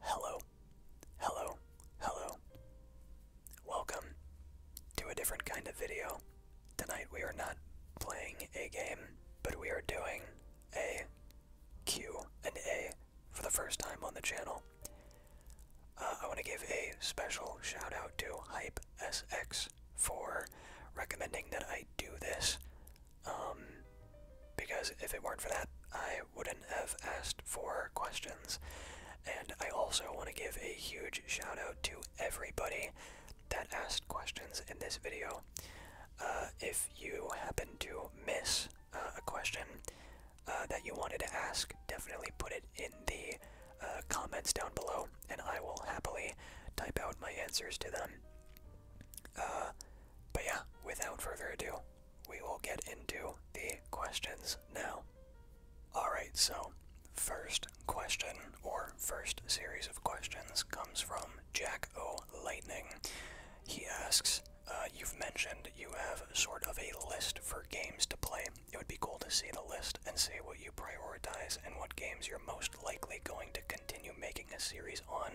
Hello, hello, hello. Welcome to a different kind of video. Tonight we are not playing a game, but we are doing a Q and A for the first time on the channel. Uh, I want to give a special shout out to Hype SX for recommending that I do this um, because if it weren't for that, I wouldn't have asked for questions. And I also want to give a huge shout out to everybody that asked questions in this video. Uh, if you happen to miss uh, a question uh, that you wanted to ask, definitely put it in the comments down below, and I will happily type out my answers to them. Uh, but yeah, without further ado, we will get into the questions now. Alright, so first question or first series of questions comes from Jack O. Lightning. He asks, uh, You've mentioned you have sort of a list for games to play. It would be cool to see the list and see what you prioritize and what games you're most likely going to continue making a series on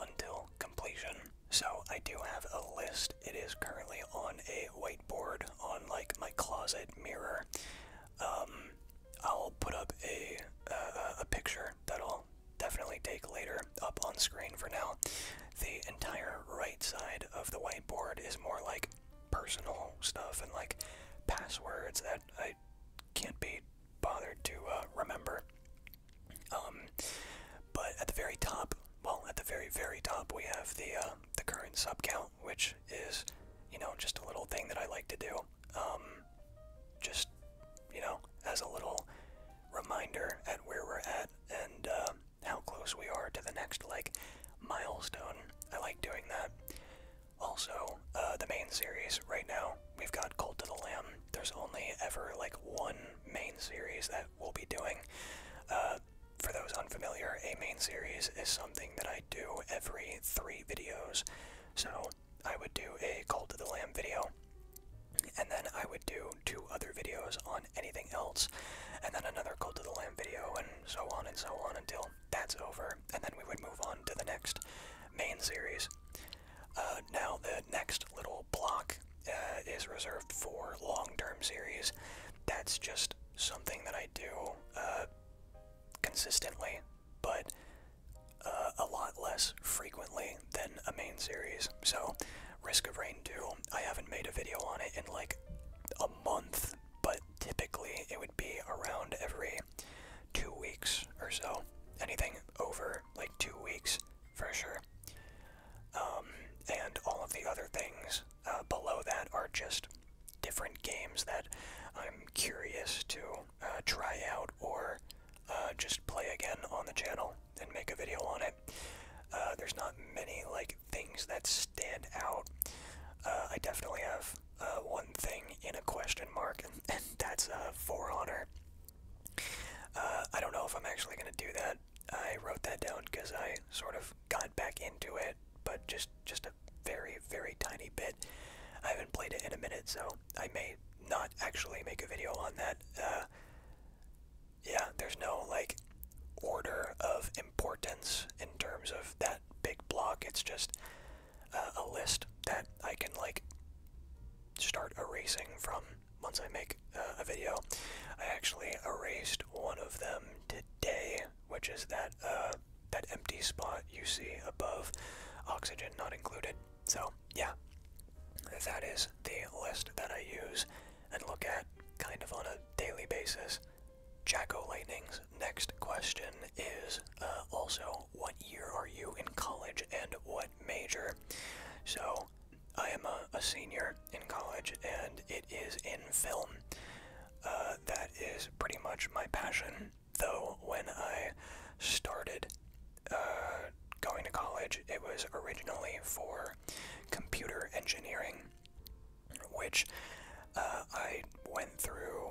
until completion. So I do have a list. It is currently on a whiteboard on like my closet mirror. Um, I'll put up a a picture that I'll definitely take later up on screen. For now, the entire right side of the whiteboard is more like personal stuff and like passwords that I can't be bothered to uh, remember. Um, but at the very top, well, at the very very top, we have the uh, the current sub count, which is, you know, just a little thing that I like to do. Um, just, you know, as a little reminder at where we're at and uh, how close we are to the next like milestone. I like doing that. Also, uh, the main series right now we've got Cult to the Lamb. There's only ever like one main series that we'll be doing. Uh, for those unfamiliar, a main series is something that I do every three videos. So I would do a Cult to the Lamb video, and then I would do two other videos on anything else, and then another Cult to the Lamb video, and so on and so on until that's over, and then we would move on to the next main series. Uh, now the next little block uh, is reserved for long-term series. That's just something that I do uh, consistently, but a lot less frequently than a main series. So, Risk of Rain 2, I haven't made a video on it in like a month, but typically it would be around every two weeks or so. Anything over like two weeks for sure. Um, and all of the other things uh, below that are just different games that I'm curious to uh, try out or uh, just play again on the channel and make a video on it. there's not many like things that stand out. I definitely have one thing in a question mark, and, that's uh, For Honor. Uh, I don't know if I'm actually going to do that. I wrote that down because I sort of got back into it, but just just a very very tiny bit. I haven't played it in a minute, so I may not actually make a video on that. Uh, yeah, there's no like order of importance in terms of that big block. It's just uh, a list that I can like start erasing from once I make uh, a video. I actually erased one of them today, which is that uh, that empty spot you see above oxygen not included. So yeah, that is the list that I use and look at kind of on a daily basis. Jacko Lightning's next question is uh, also what year are you in college and what major? So I am a, senior in college, and it is in film. Uh, that is pretty much my passion. Though, when I started uh, going to college, it was originally for computer engineering, which uh, I went through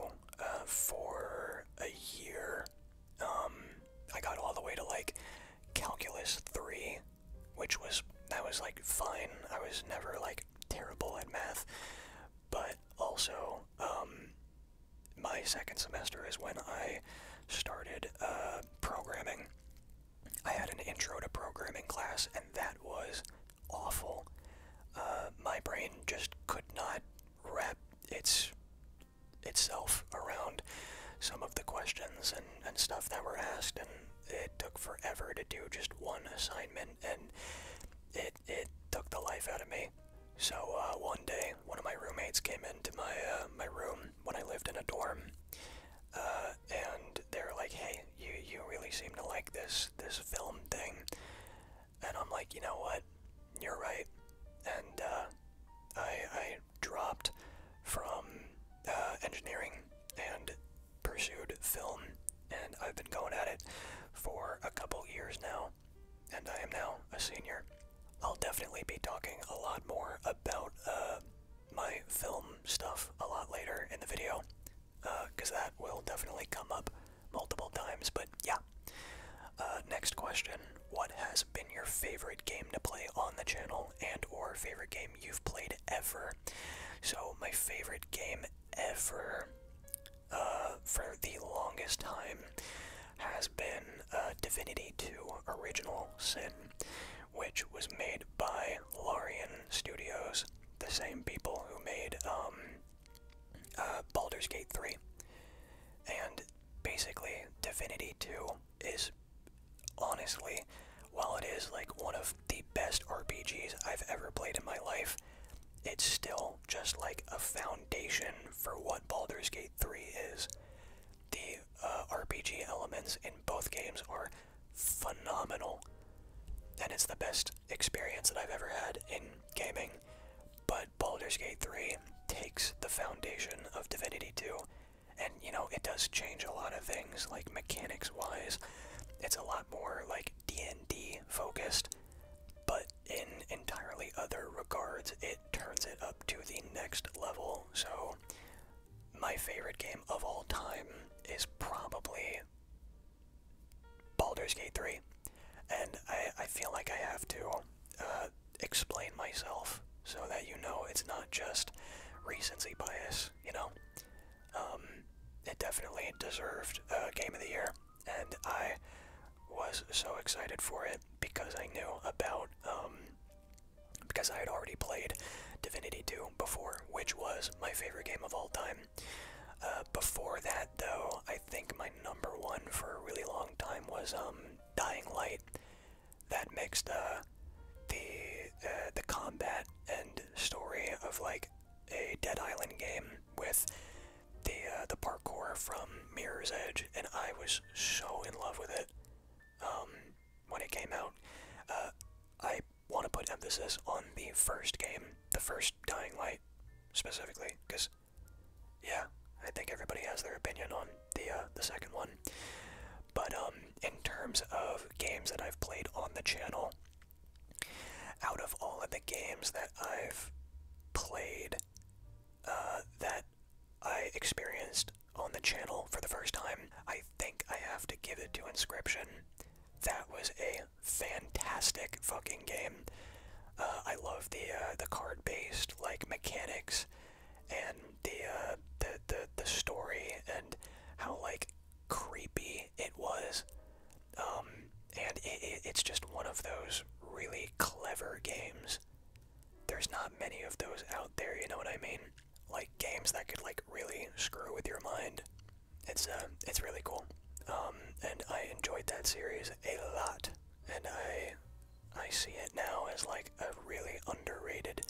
for a year um, I got all the way to like calculus three, which was that was like fine. I was never like terrible at math, but also um, my second semester is when I started uh, programming. I had an intro to programming class, and that was awful. Uh, my brain just could not wrap its itself around some of the questions and, and stuff that were asked and it took forever to do just one assignment and it it took the life out of me so uh, one day one of my roommates came into my uh, my room when I lived in a dorm uh, and they're like hey you you really seem to like this this film thing and I'm like you know what you're right and I, I dropped from uh, engineering and pursued film, and I've been going at it for a couple years now, and I am now a senior. I'll definitely be talking a lot more about uh, my film stuff a lot later in the video, because uh, that will definitely come up multiple times, but yeah. next question what has been your favorite game to play on the channel and or favorite game you've played ever. So my favorite game ever uh, for the longest time has been uh, Divinity 2 Original Sin, which was made by Larian Studios, the same people who made um, uh, Baldur's Gate 3. And basically, Divinity 2 is honestly, while it is like one of the best RPGs I've ever played in my life, it's still just like a foundation for what Baldur's Gate 3 is. The uh, RPG elements in both games are phenomenal, and it's the best experience that I've ever had in gaming. But Baldur's Gate 3 takes the foundation of Divinity 2 and you know, it does change a lot of things, like mechanics wise. It's a lot more like D&D focused, but in entirely other regards, it turns it up to the next level. So, my favorite game of all time is probably Baldur's Gate 3, and I, feel like I have to uh, explain myself so that you know it's not just recency bias, you know? Um, it definitely deserved uh, Game of the Year, and I was so excited for it because I knew about, um, because I had already played Divinity 2 before, which was my favorite game of all time. Uh, before that, though, I think my number one for a really long time was um, Dying Light that mixed the the combat and story of like a Dead Island game with the uh, the parkour from Mirror's Edge, and I was so in love with it um, when it came out. Uh, I want to put emphasis on the first game, the first Dying Light specifically, because yeah, I think everybody has their opinion on the uh, the second one. But um, in terms of games that I've played on the channel, out of all of the games that I've played uh, that I experienced on the channel for the first time, I think I have to give it to Inscription. That was a fantastic fucking game. Uh, I love the the card-based like mechanics and uh, the the the story and how like creepy it was. Um, and it's just one of those really clever games. There's not many of those out there. You know what I mean? Like games that could like really screw with your mind. It's uh, it's really cool. Um, and I enjoyed that series a lot. And I, I see it now as like a really underrated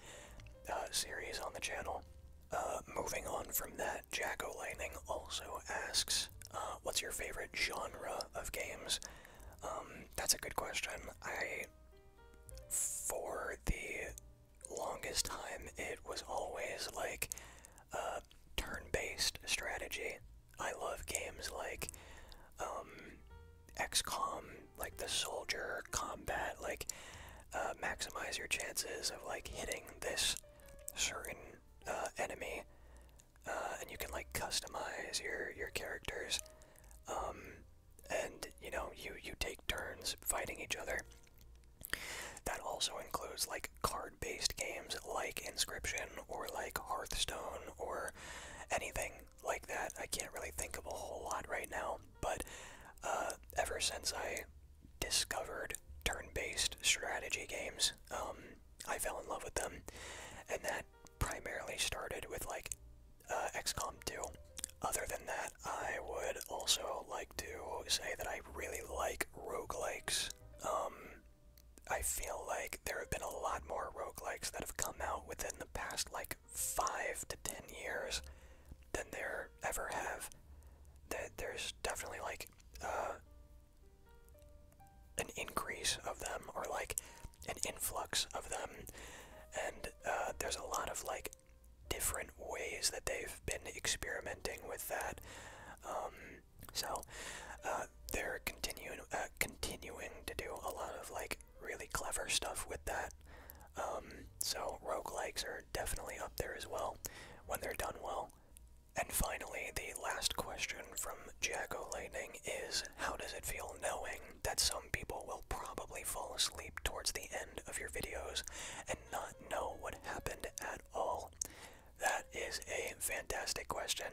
uh, series on the channel. Uh, moving on from that, Jack O'Lightning also asks, uh, what's your favorite genre of games? Um, that's a good question. I, for the longest time, it was always like turn based strategy. I love games like um, XCOM, like the soldier combat, like uh, maximize your chances of like hitting this certain uh, enemy, uh, and you can like customize your your characters, um, and you know you you take turns fighting each other. That also includes like card-based games like Inscription or like Hearthstone or anything like that. I can't really think of a whole lot right now, but uh, ever since I discovered turn-based strategy games, um, I fell in love with them, and that primarily started with like uh, XCOM 2. Other than that, I would also like to say that I really like roguelikes. Um, I feel like there have been a lot more roguelikes that have come out within the past like five to ten years than there ever have. That there's definitely like uh, an increase of them, or like an influx of them, and uh, there's a lot of like different ways that they've been experimenting with that. Um, so uh, they're continuing continuing to do a lot of like really clever stuff with that. Um, so roguelikes are definitely up there as well when they're done well. And finally, the last question from Jago Lightning is How does it feel knowing that some people will probably fall asleep towards the end of your videos and not know what happened at all? That is a fantastic question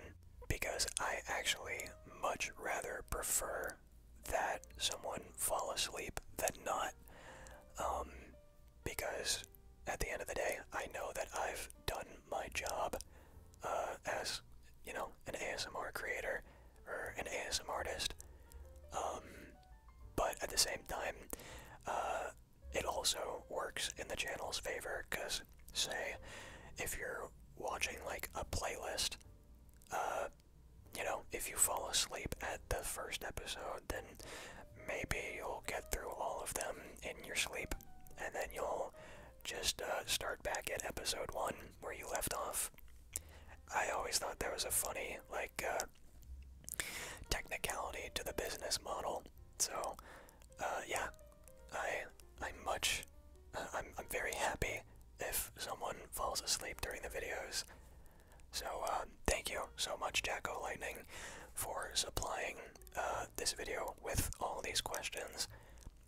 because I actually much rather prefer that someone fall asleep than not. Um, because at the end of the day, I know that I've done my job uh, as, you know, an ASMR creator or an ASMR artist. Um, but at the same time, uh, it also works in the channel's favor because, say, if you're watching like a playlist, uh, you know, if you fall asleep at the first episode, then maybe you'll get through all of them in your sleep, and then you'll just uh, start back at episode one where you left off. I always thought that was a funny, like, uh, technicality to the business model. So, uh, yeah, I, I much, I'm, I'm very happy if someone falls asleep during the videos. So uh, thank you so much, Jacko Lightning, for supplying uh, this video with all these questions.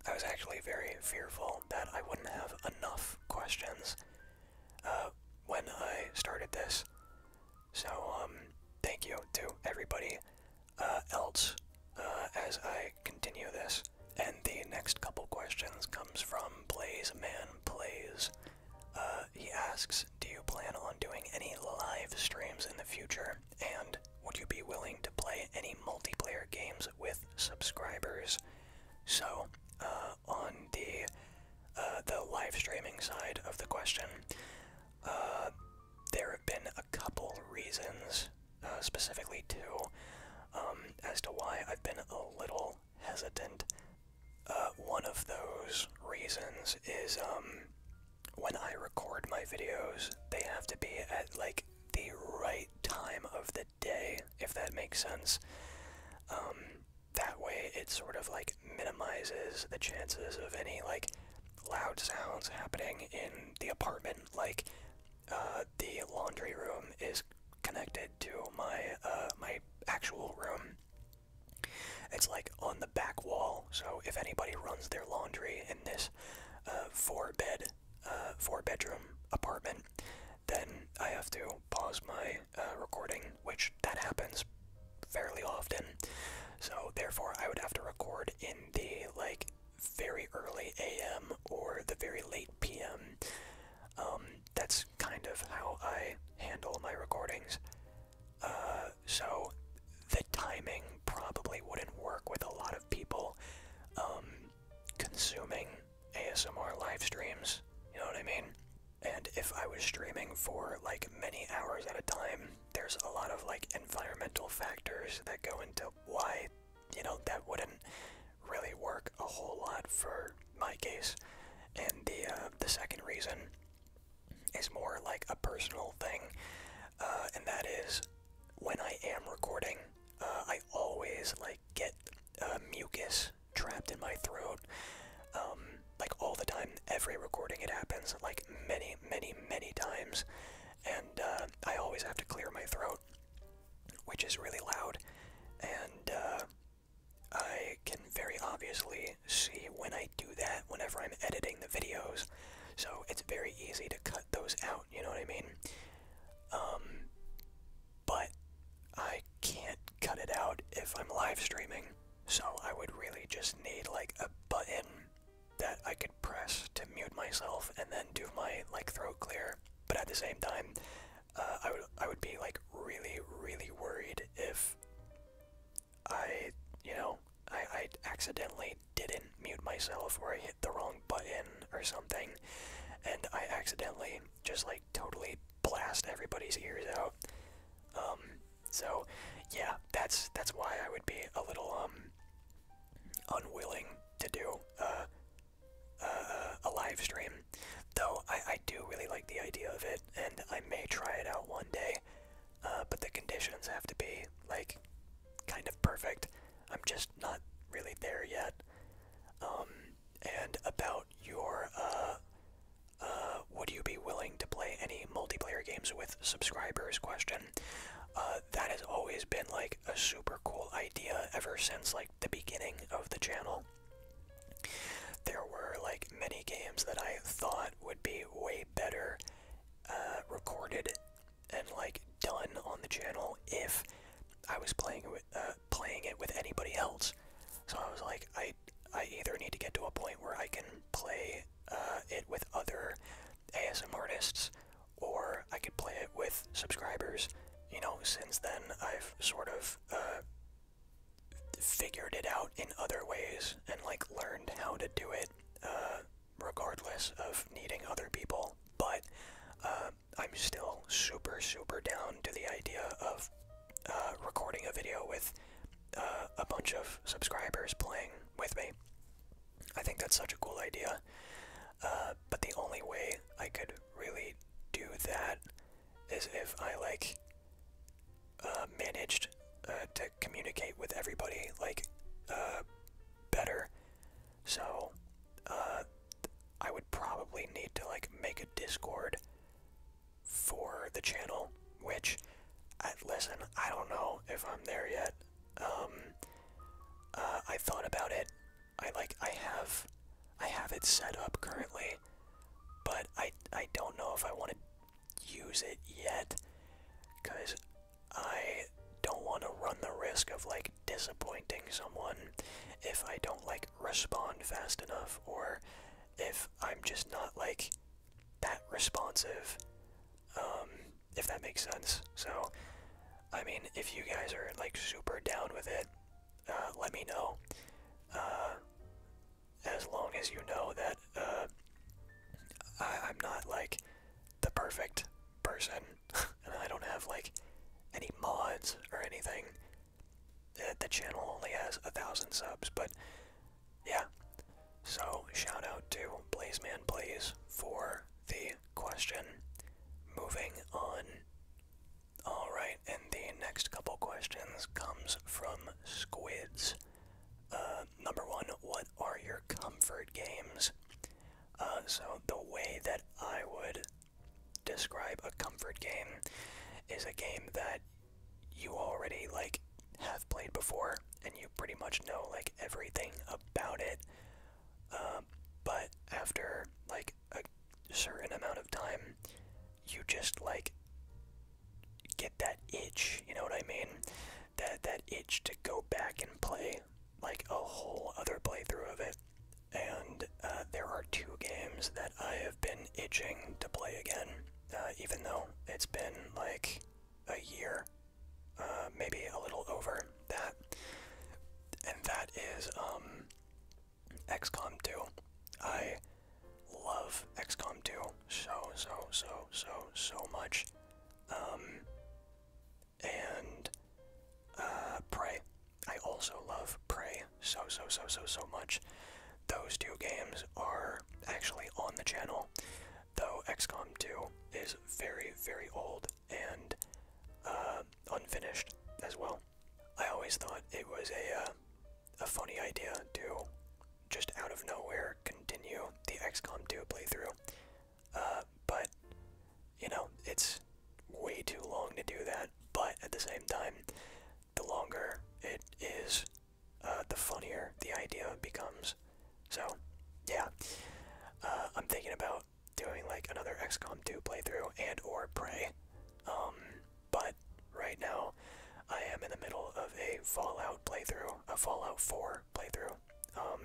I was actually very fearful that I wouldn't have enough questions uh, when I started this. So um, thank you to everybody else as I continue this. And the next couple questions comes from Plays Man Plays. Uh, he asks, "Do you plan on doing any live streams in the future? And would you be willing to play any multiplayer games with subscribers?" So, uh, on the uh, the live streaming side of the question, there have been a couple reasons, specifically two, um, as to why I've been a little hesitant. Uh, one of those reasons is um, when I record my videos, they have to be at like the right time of the day, if that makes sense. Um, that way, it sort of like minimizes the chances of any like loud sounds happening in the apartment. Like, uh, the laundry room is connected to my uh, my actual room. It's like on the back wall, so if anybody runs their laundry in this four uh, bed, four uh, bedroom apartment, then I have to pause my recording, which that happens fairly often. So therefore, I would have to record in the like very early a.m. or the very late p.m. Um, that's kind of how I handle my recordings. Uh, so the timing probably wouldn't work with a lot of people um, consuming ASMR live streams. You know what I mean? And if I was streaming for like many hours at a time, there's a lot of like environmental factors that go into why, you know, that wouldn't really work a whole lot for my case. And the uh, the second reason is more like a personal thing, uh, and that is when I am recording, uh, I always like get uh, mucus trapped in my throat, um, like all the time. Every recording it happens, like many, many, many times, and I always have to clear my throat, which is really loud, and I can very obviously see when I do that whenever I'm editing the videos, so it's very easy to cut those out, you know what I mean? Um, but I can't cut it out if I'm live streaming, so I would really just need like a button that I could press to mute myself and then do my like throat clear, but at the same time, uh, I would I would be like really really worried if I you know I I accidentally didn't mute myself or I hit the wrong button or something, and I accidentally just like totally blast everybody's ears out. Um, so yeah, that's that's why I would be a little um unwilling to do uh a live stream. Though I, I do really like the idea of it, and I may try it out one day. Uh, but the conditions have to be like kind of perfect. I'm just not really there yet. Um, and about your uh, uh, would you be willing to play any multiplayer games with subscribers question? Uh, that has always been like a super cool idea ever since like the beginning of the channel. There were like many games that I thought would be way better uh, recorded and like done on the channel if I was playing uh, playing it with anybody else. So I was like, I I either need to get to a point where I can play uh, it with other ASM artists, or I could play it with subscribers. You know, since then I've sort of figured it out in other ways and like learned how to do it uh, regardless of needing other people but uh, i'm still super super down to the idea of uh, recording a video with a bunch of subscribers playing with me i think that's such a cool idea but the only way i could really do that is if I like uh, managed uh, to communicate with everybody like uh, better. So uh, I would probably need to like make a Discord for the channel, which I, listen, I don't know if I'm there yet. Um, uh, I thought about it. I like I have I have it set up currently but I I don't know if I want to use it yet, cause I don't want to run the risk of like disappointing someone if I don't like respond fast enough or if I'm just not like that responsive. Um, if that makes sense. So, I mean, if you guys are like super down with it, uh, let me know. Uh, as long as you know that uh, I, am not like the perfect person, and I don't have like any mods or anything. the channel only has a thousand subs, but yeah. So shout out to Blaze Man Blaze for the question. Moving on. All right, and the next couple questions comes from Squids. Uh, number one, what are your comfort games? Uh, so the way that I would describe a comfort game is a game that you already like have played before, and you pretty much know like everything about it. Uh, but after like a certain amount of time, you just like get that itch, you know what I mean? That that itch to go back and play like a whole other playthrough of it. And uh, there are two games that I have been itching to play again, uh, even though it's been like a year, uh, maybe a little over that. And that is um, XCOM 2. I love XCOM 2 so, so, so, so, so much. Um, and uh, Prey. I also love Prey so, so, so, so, so much. Those two games are actually on the channel, though XCOM 2 is very, very old and uh, unfinished as well. I always thought it was a uh, a funny idea to just out of nowhere continue the XCOM 2 playthrough. Uh, but, you know, it's way too long to do that. But at the same time, the longer it is, uh, the funnier the idea becomes. So, yeah. Uh, I'm thinking about doing like another XCOM 2 playthrough and or Prey. Um, but right now, I am in the middle of a Fallout playthrough, a Fallout 4 playthrough, um,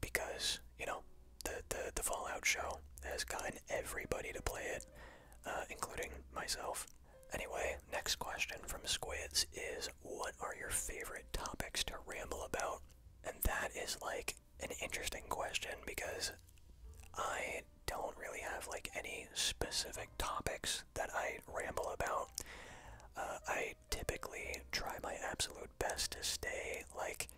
because you know the the Fallout show has gotten everybody to play it, uh, including myself. Anyway, next question from Squids is, what are your favorite topics to ramble about? And that is like an interesting question because I I don't really have like any specific topics that I ramble about. Uh, I typically try my absolute best to stay like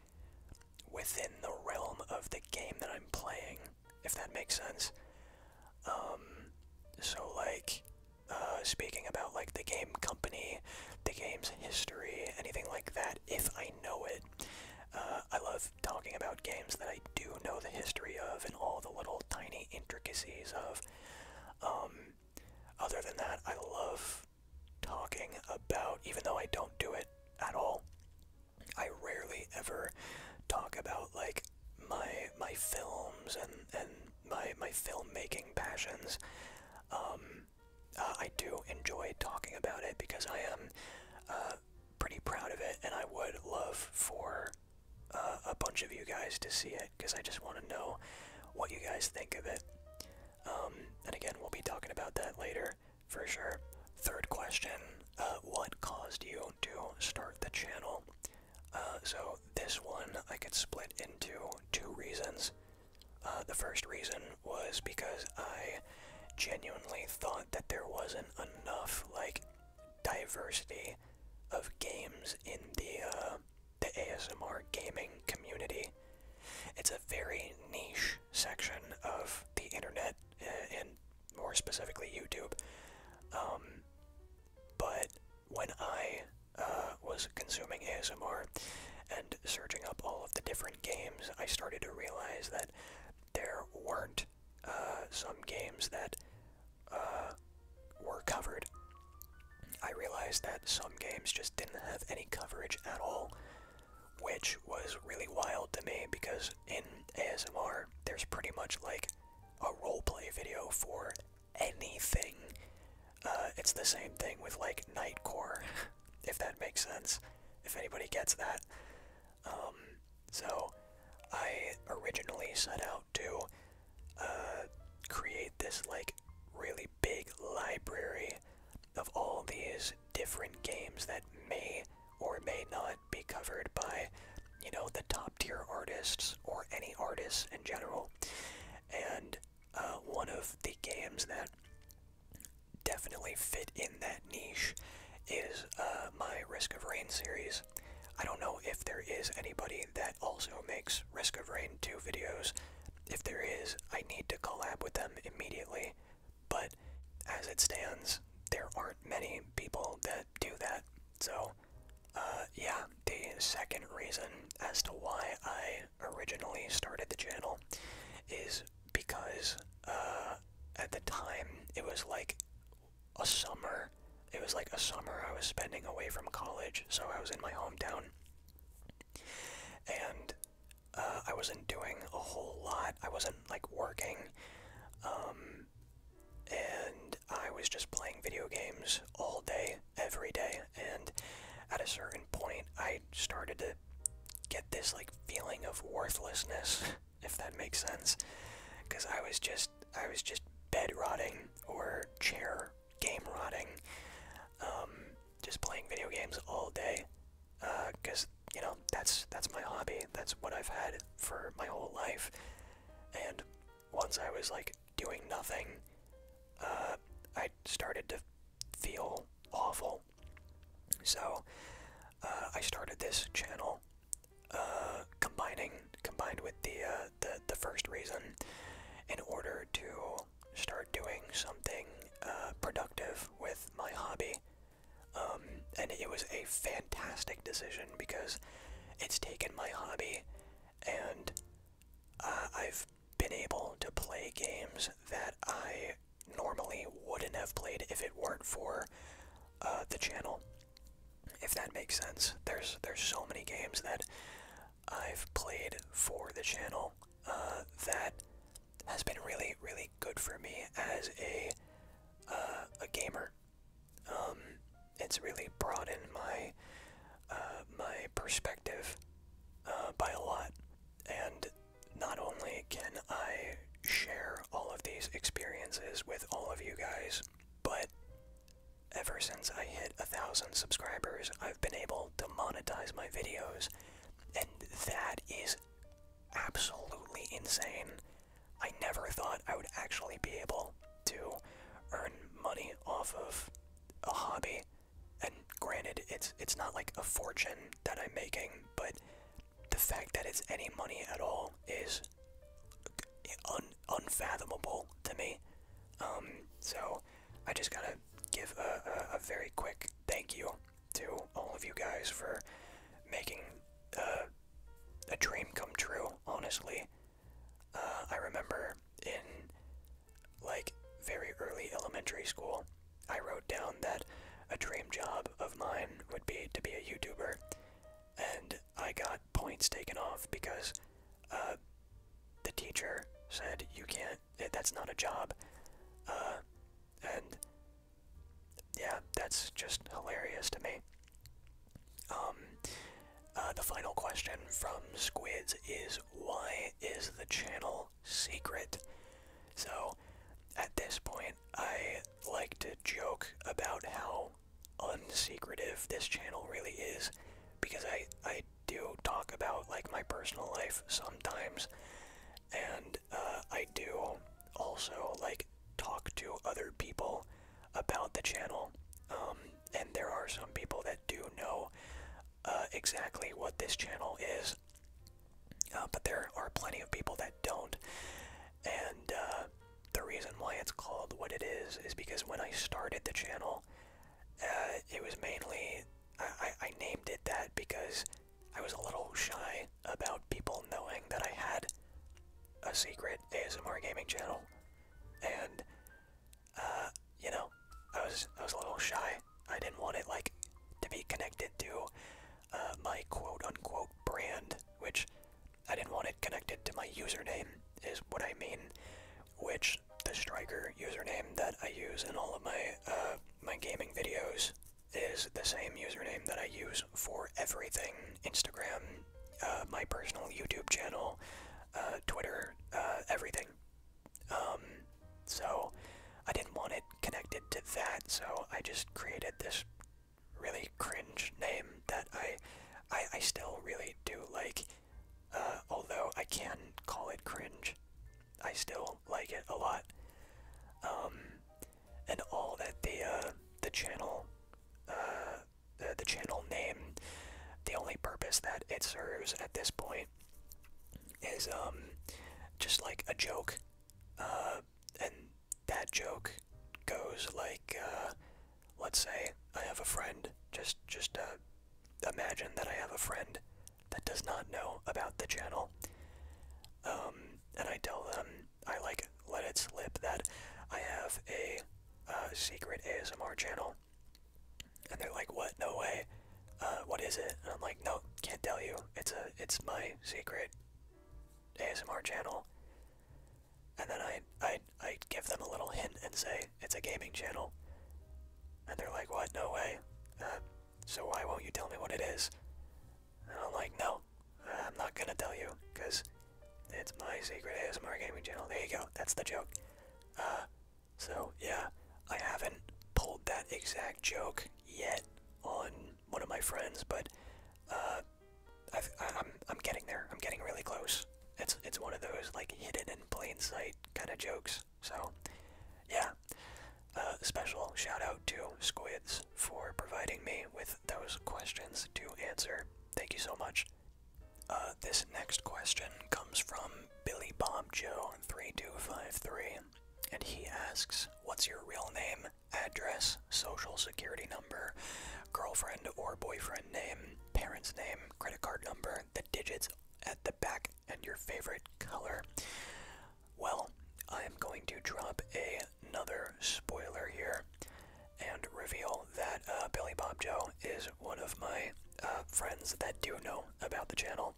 within the realm of the game that I'm playing, if that makes sense. Um, so like, uh, speaking about like the game company, the game's history, anything like that, if I know it, uh, I love talking about games that I do know the history of and all the little tiny intricacies of. Um, other than that, I love talking about, even though I don't do it at all, I rarely ever talk about like my my films and and my my filmmaking passions. Um, uh, I do enjoy talking about it because I am uh, uh, pretty proud of it, and I would love for uh, a bunch of you guys to see it because I just want to know what you guys think of it. Um, and again, we'll be talking about that later for sure. Third question uh, What caused you to start the channel? so, this one I could split into two reasons. the first reason was because I genuinely thought that there wasn't enough like diversity of games in the uh, the ASMR gaming community. It's a very niche section of the internet, uh, and more specifically YouTube. Um, but when I uh, was consuming ASMR and searching up all of the different games, I started to realize that there weren't some games that uh, were covered. I realized that some games just didn't have any coverage at all, which was really wild to me because in ASMR, there's pretty much like a roleplay video for anything. Uh, it's the same thing with like Nightcore, if that makes sense, if anybody gets that. Um, so I originally set out to uh, create this like really big library of all these different games that may or may not be covered by, you know, the top tier artists or any artists in general. And uh, one of the games that definitely fit in that niche is uh, my Risk of Rain series. I don't know if there is anybody that also makes Risk of Rain 2 videos. If there is, I need to collab with them immediately. But as it stands, there aren't many people that do that. So, uh, yeah, the second reason as to why I originally started the channel is because uh, at the time it was like a summer. It was like a summer I was spending away from college, so I was in my hometown. And uh, I wasn't doing a whole lot. I wasn't like working. Um, and I was just playing video games all day, every day. And at a certain point, I started to get this like feeling of worthlessness. if that makes sense, because I was just I was just bed rotting or chair game rotting, um, just playing video games all day, because uh, you know that's that's my hobby. That's what I've had for my whole life, and once I was like doing nothing, uh, I started to feel awful. So uh, I started this channel combining combined with the, uh, the the first reason in order to start doing something uh, productive with my hobby. Um, and it was a fantastic decision because it's taken my hobby and uh, I've been able to play games that I normally wouldn't have played if it weren't for uh, the channel, if that makes sense. There's there's so many games that I've played for the channel uh, that has been really really good for me as a uh, a gamer. Um, it's really broadened my my perspective by a lot, and not only can I share all of these experiences with all of you guys, but ever since I hit a thousand subscribers, I've been able to monetize my videos, and that is absolutely insane. I never thought I would actually be able to earn money off of a hobby. And granted, it's it's not like a fortune that I'm making, but the fact that it's any money at all is unfathomable to me. Um, so I just gotta give a, very quick thank you to all of you guys for making uh, a dream come true, honestly. Uh, I remember in like very early elementary school, I wrote down that a dream job of mine would be to be a YouTuber, and I got points taken off because uh, the teacher said you can't. That's not a job. Uh, and yeah, that's just hilarious to me. Um, uh, the final question from Squids is why is the channel secret? So, at this point, I like to joke about how unsecretive this channel really is because I, I do talk about like my personal life sometimes and uh, I do also like talk to other people about the channel um, and there are some people that do know uh, exactly what this channel is uh, but there are plenty of people that don't and uh, the reason why it's called what it is is because when I started the channel, uh, it was mainly. I, named it that because I was a little shy about people knowing that I had a secret ASMR gaming channel, and uh, you know, I was I was a little shy. I didn't want it like to be connected to uh, my quote unquote brand, which I didn't want it connected to my username, is what I mean. Which the Striker username that I use in all of my uh, my gaming videos is the same username that I use for everything: Instagram, uh, my personal YouTube channel, Twitter, everything. Um, so I didn't want it connected to that, so I just created this really cringe name that I, I, I still really do like. Uh, although I can call it cringe, I still like it a lot. Um, and all that the uh, the channel, uh, the, the channel name, the only purpose that it serves at this point is um, just like a joke and that joke goes like, uh, let's say I have a friend. Just, just uh, imagine that I have a friend that does not know about the channel. Um, and I tell them, I like let it slip that I have a uh, secret ASMR channel. And they're like, "What? No way! what is it?" And I'm like, "No, can't tell you. It's a, it's my secret ASMR channel." and then I I I give them a little hint and say it's a gaming channel, and they're like, "What? No way! Uh, so why won't you tell me what it is?" And I'm like, "No, I'm not gonna tell you, cause it's my secret ASMR gaming channel." There you go. That's the joke. Uh, so yeah, I haven't pulled that exact joke yet on one of my friends, but uh, i am I'm getting there. I'm getting really close. It's it's one of those like hidden in plain sight kind of jokes. So, yeah. Uh, special shout out to Squids for providing me with those questions to answer. Thank you so much. Uh, this next question comes from Billy Bob Joe 3253, and he asks, "What's your real name?" address, social security number, girlfriend or boyfriend name, parents' name, credit card number, the digits at the back, and your favorite color. Well, I am going to drop another spoiler here and reveal that uh, Billy Bob Joe is one of my uh, friends that do know about the channel.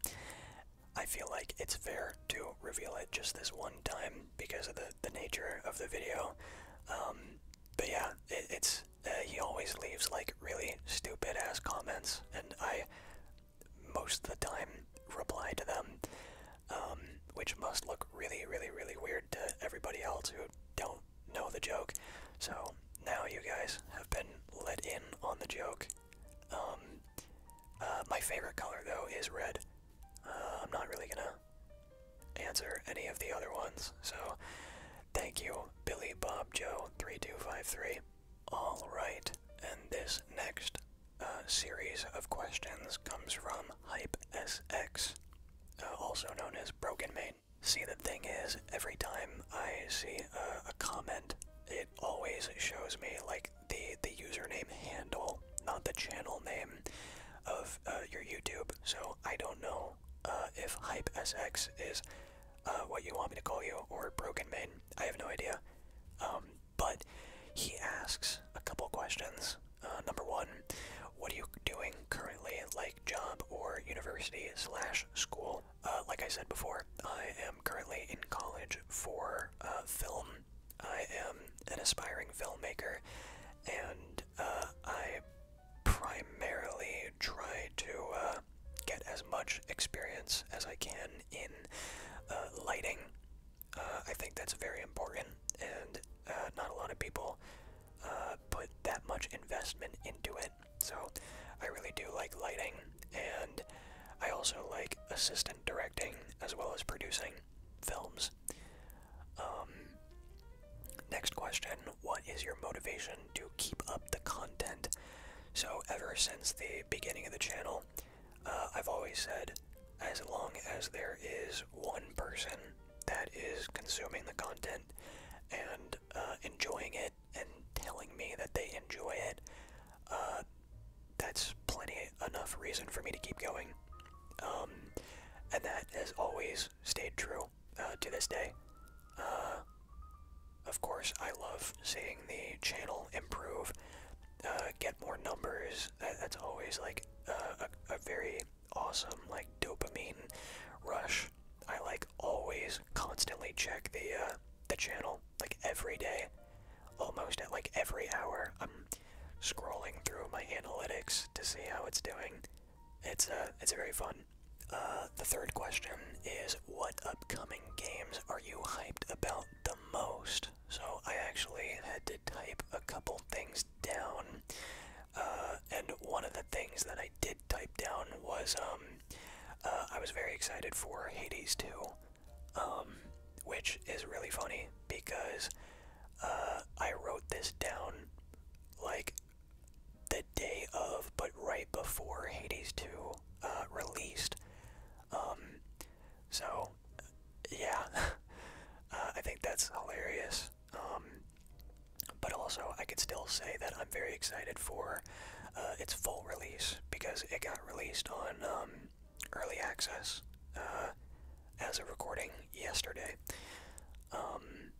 I feel like it's fair to reveal it just this one time because of the, the nature of the video. Um, but yeah, it's uh, he always leaves like really stupid ass comments, and I most of the time reply to them, um, which must look really, really, really weird to everybody else who don't know the joke. So now you guys have been let in on the joke. Um, uh, my favorite color though is red. Uh, I'm not really gonna answer any of the other ones. So thank you, Billy Bob Joe 3253. All right, and this next uh, series of questions comes from Hype SX, uh, also known as Broken Main. See, the thing is, every time I see a, a comment, it always shows me like the the username handle, not the channel name of uh, your YouTube, so I don't know uh, if Hype SX is uh, what you want me to call you or Broken Man. I have no idea. Um, but he asks a couple questions. number one, what are you doing currently, like job or university slash school? like I said before, I am currently in college for film. I am an aspiring filmmaker, and uh, I primarily try to uh, get as much experience as I can in uh, lighting. I think that's very important, and not a lot of people put that much investment into it. So I really do like lighting, and I also like assistant directing as well as producing films. Um, next question What is your motivation to keep up the content? So, ever since the beginning of the channel, uh, I've always said as long as there is one person that is consuming the content and uh, enjoying it and telling me that they enjoy it, uh, that's plenty enough reason for me to keep going. Um, and that has always stayed true uh, to this day. Uh, of course, I love seeing the channel improve, uh, get more numbers. that's always like a, a very awesome like dopamine rush. I like always constantly check the the channel like every day, almost at like every hour scrolling through my analytics to see how it's doing. It's a uh, it's very fun. Uh, the third question is, what upcoming games are you hyped about the most? So I actually had to type a couple things down, uh, and one of the things that I did type down was um, I was very excited for Hades 2, um, which is really funny because uh, I wrote this down like the day of, but right before Hades 2 uh, released. Um, so, yeah, uh, I think that's hilarious. Um, but also, I could still say that I'm very excited for its full release because it got released on um, early access as of recording yesterday. Um,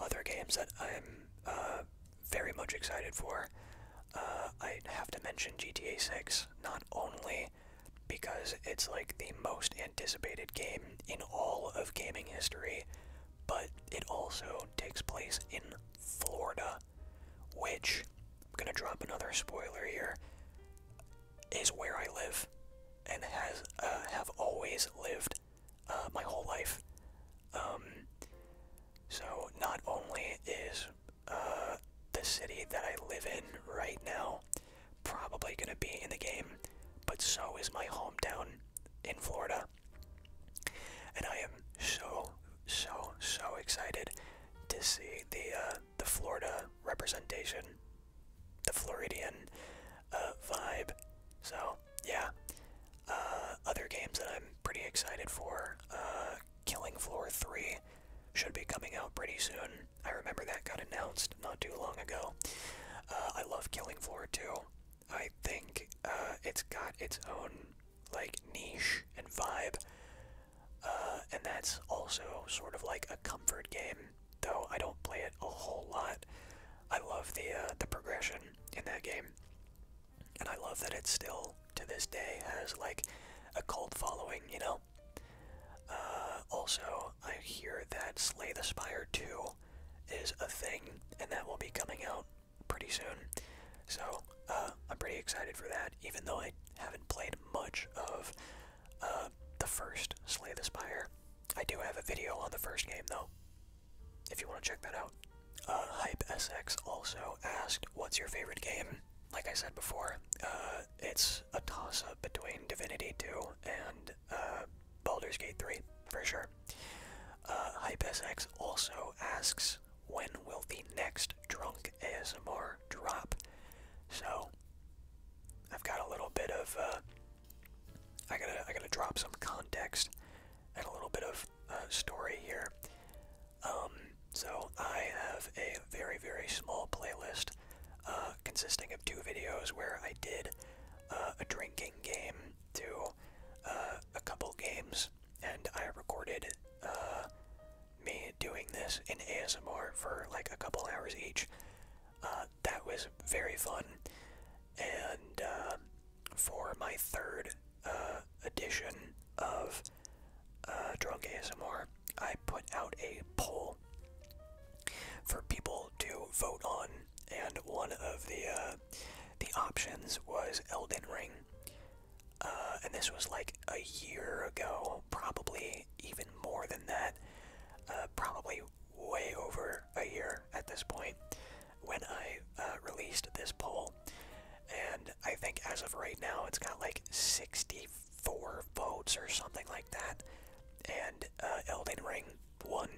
other games that I'm uh, very much excited for. Uh, I have to mention GTA 6, not only because it's like the most anticipated game in all of gaming history, but it also takes place in Florida, which, I'm gonna drop another spoiler here, is where I live and has uh, have always lived uh, my whole life. Um, so not only is uh, the city that I live in right now probably going to be in the game, but so is my hometown in Florida. And I am so, so, so excited to see the the Florida representation the Floridian uh, vibe. So yeah, uh, other games that I'm pretty excited for. Uh, Killing Floor 3 should be coming out pretty soon. I remember that got announced not too long ago. Uh, I love Killing Floor 2. I think uh, it's got its own like niche and vibe, uh, and that's also sort of like a comfort game though I don't play it a whole lot. I love the uh, the progression in that game, and I love that it still to this day has like a cult following. You know. Uh, also, I hear that Slay the Spire 2 is a thing, and that will be coming out pretty soon. So uh, I'm pretty excited for that, even though I haven't played much of uh, the first Slay the Spire. I do have a video on the first game though, if you want to check that out. Uh, Hype SX also asked, "What's your favorite game?" Like I said before, uh, it's a toss-up between Divinity 2 and uh, Baldur's Gate 3 for sure. Hype SX also asks, "When will the next Drunk ASMR drop?" So I've got a little bit of. I gotta I gotta drop some context and a little bit of uh, story here. Um, so I have a very very small playlist uh, consisting of two videos where I did uh, a drinking game to a couple games, and I recorded me doing this in ASMR for like a couple hours each that was very fun. And uh, for my third uh, edition of uh, Drunk ASMR, I put out a poll for people to vote on, and one of the uh, the options was Elden Ring. and this was like a year ago, probably even more than that. probably way over a year at this point when I uh, released this poll. And I think as of right now, it's got like 64 votes or something like that. And uh, Elden Ring won.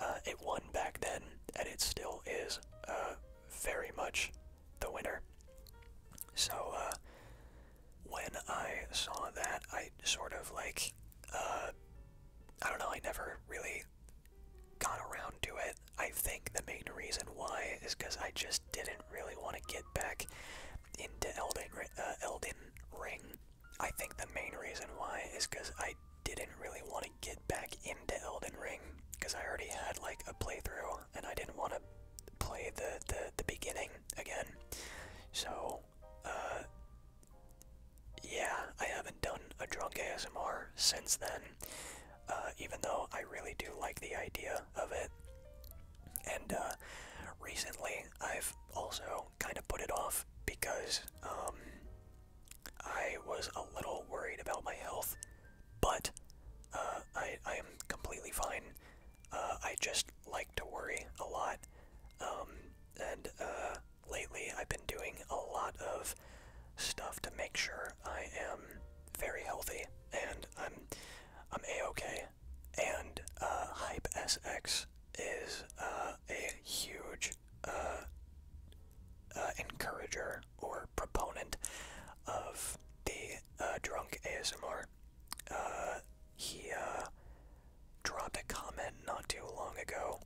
Uh, it won back then, and it still is very much the winner. So, when I saw that, I sort of like uh, I don't know, I never really got around to it. I think the main reason why is because I just didn't really want to get back into Elden, uh, Elden Ring. I think the main reason why is because I didn't really want to get back into Elden Ring because I already had like a playthrough and I didn't want to play the, the, the beginning again. So uh, yeah, I haven't done a drunk ASMR since then, uh, even though I really do like the idea of it. And uh, recently, I've also kind of put it off because um, I was a little worried about my health, but I, I am completely fine. I just like to worry a lot, um, and lately I've been doing a lot of stuff to make sure I am very healthy and I'm I'm a-okay and uh, Hype SX is uh, a huge uh, encourager or proponent of the drunk ASMR he uh, dropped a comment not too long ago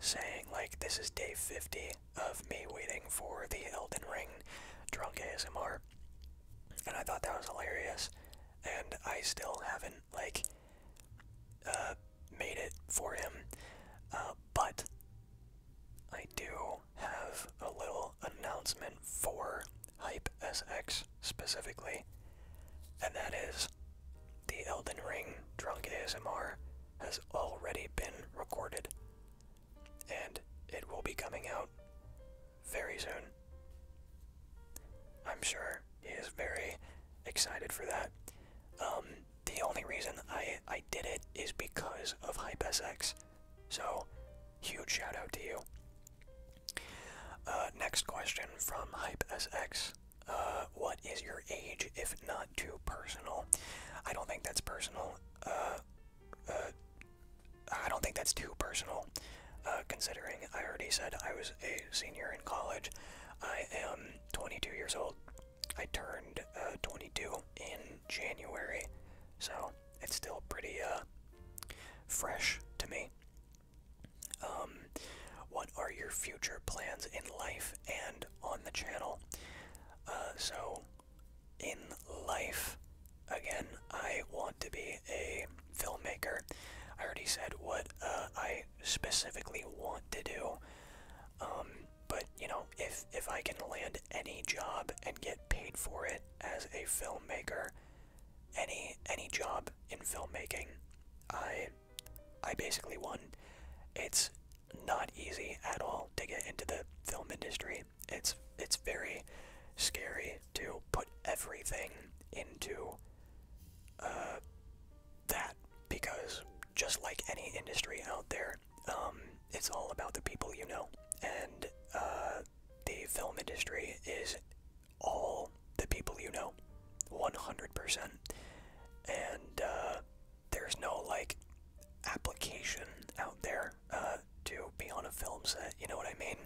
saying, like, this is day 50 of me waiting for the Elden Ring drunk ASMR. And I thought that was hilarious. And I still haven't, like, uh, made it for him. Uh, but I do have a little announcement for Hype SX specifically. And that is the Elden Ring Drunk ASMR has already been recorded, and it will be coming out very soon. I'm sure he is very excited for that. Um, the only reason I, I did it is because of HypeSX, so huge shout out to you. Uh, next question from HypeSX. Uh, what is your age if not too personal? I don't think that's personal. Uh, uh, I don't think that's too personal, uh, considering I already said I was a senior in college. I am 22 years old. I turned uh, 22 in January, so it's still pretty uh, fresh to me. Um, what are your future plans in life and on the channel? Uh, so, in life, again, I want to be a filmmaker. I already said what uh, I specifically want to do. Um, but you know, if if I can land any job and get paid for it as a filmmaker, any any job in filmmaking, I I basically won. It's not easy at all to get into the film industry. It's it's very scary to put everything into uh, that because just like any industry out there, um, it's all about the people you know, and uh, the film industry is all the people you know 100% and uh, there's no like application out there uh, to be on a film set you know what i mean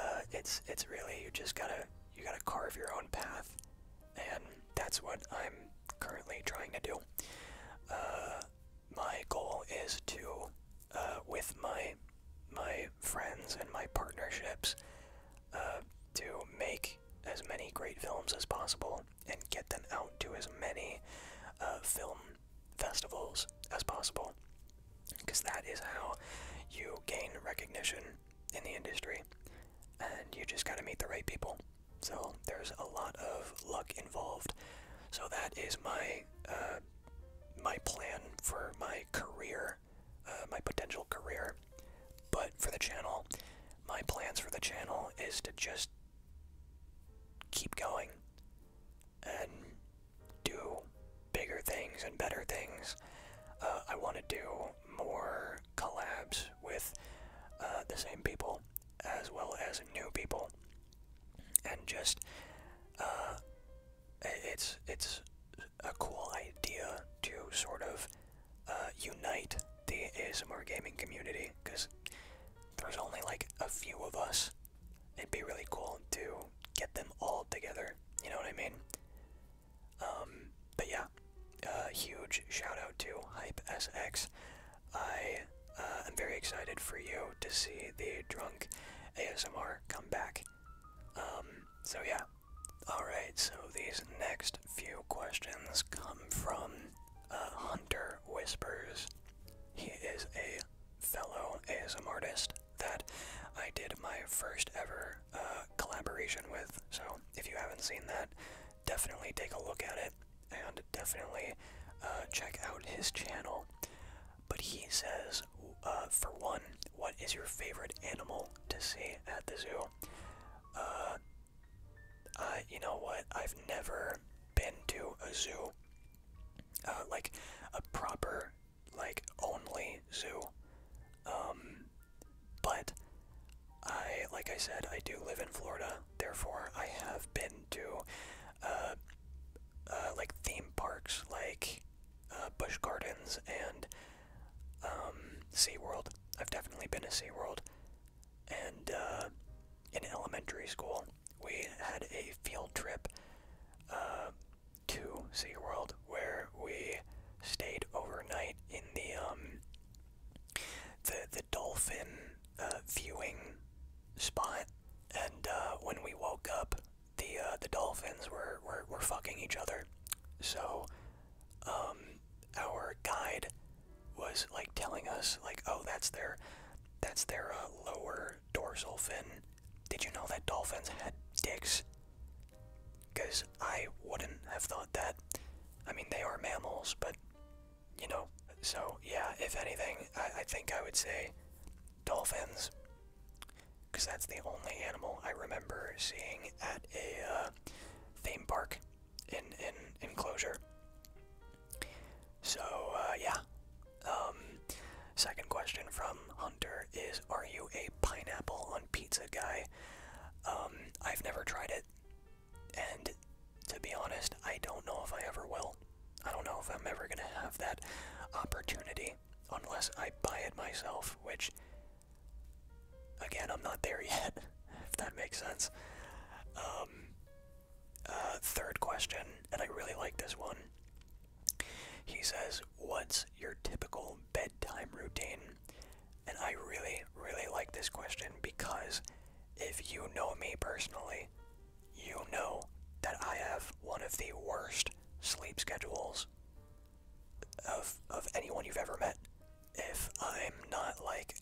uh, it's it's really you just gotta you gotta carve your own path and that's what i'm currently trying to do my goal is to with my my friends and my partnerships to make as many great films as possible and get them out to as many uh, film festivals as possible. Because that is how you gain recognition in the industry. And you just gotta meet the right people. So there's a lot of luck involved. So that is my uh, my plan for my career uh, my potential career. But for the channel, my plans for the channel is to just keep going and do bigger things and better things. Uh, I want to do more collabs with uh, the same people as well as new people, and just it's it's a cool idea to sort of uh, unite the ASMR gaming community because there's only like a few of us. It'd be really cool to get them all together. You know what I mean? Um, but yeah, a uh, huge shout out to Hype SX. I uh, am very excited for you to see the drunk ASMR come back. Um, so yeah, Alright, so these next few questions come from uh, Hunter Whispers. He is a fellow ASM artist that I did my first ever uh, collaboration with, so if you haven't seen that, definitely take a look at it and definitely uh, check out his channel. But he says, for one, what is your favorite animal to see at the zoo? Uh, uh, you know what? I've never been to a zoo, uh, like a proper, like only zoo. Um, but I, like I said, I do live in Florida. Therefore, I have been to, uh, uh like theme parks, like uh, Busch Gardens and um, SeaWorld. I've definitely been to SeaWorld. And uh, in elementary school, we had a field trip uh, to SeaWorld where we stayed overnight in the um, the the dolphin uh, viewing spot. And uh, when we woke up, the the dolphins were were fucking each other. So um, our guide was like telling us like oh that's their that's their uh, lower dorsal fin did you know that dolphins had dicks because i wouldn't have thought that i mean they are mammals but you know so yeah if anything i, think i would say dolphins because that's the only animal i remember seeing at a uh, uh, theme park in in enclosure. So uh, yeah. Um, second question from Hunter is: Are you a pineapple on pizza guy? Um, I've never tried it, and to be honest, I don't know if I ever will. I don't know if I'm ever gonna have that opportunity unless I buy it myself, which Again, I'm not there yet, if that makes sense. Um, uh, third question, and I really like this one. He says, What's your typical bedtime routine? And I really, really like this question because if you know me personally, you know that I have one of the worst sleep schedules of of anyone you've ever met if I'm not like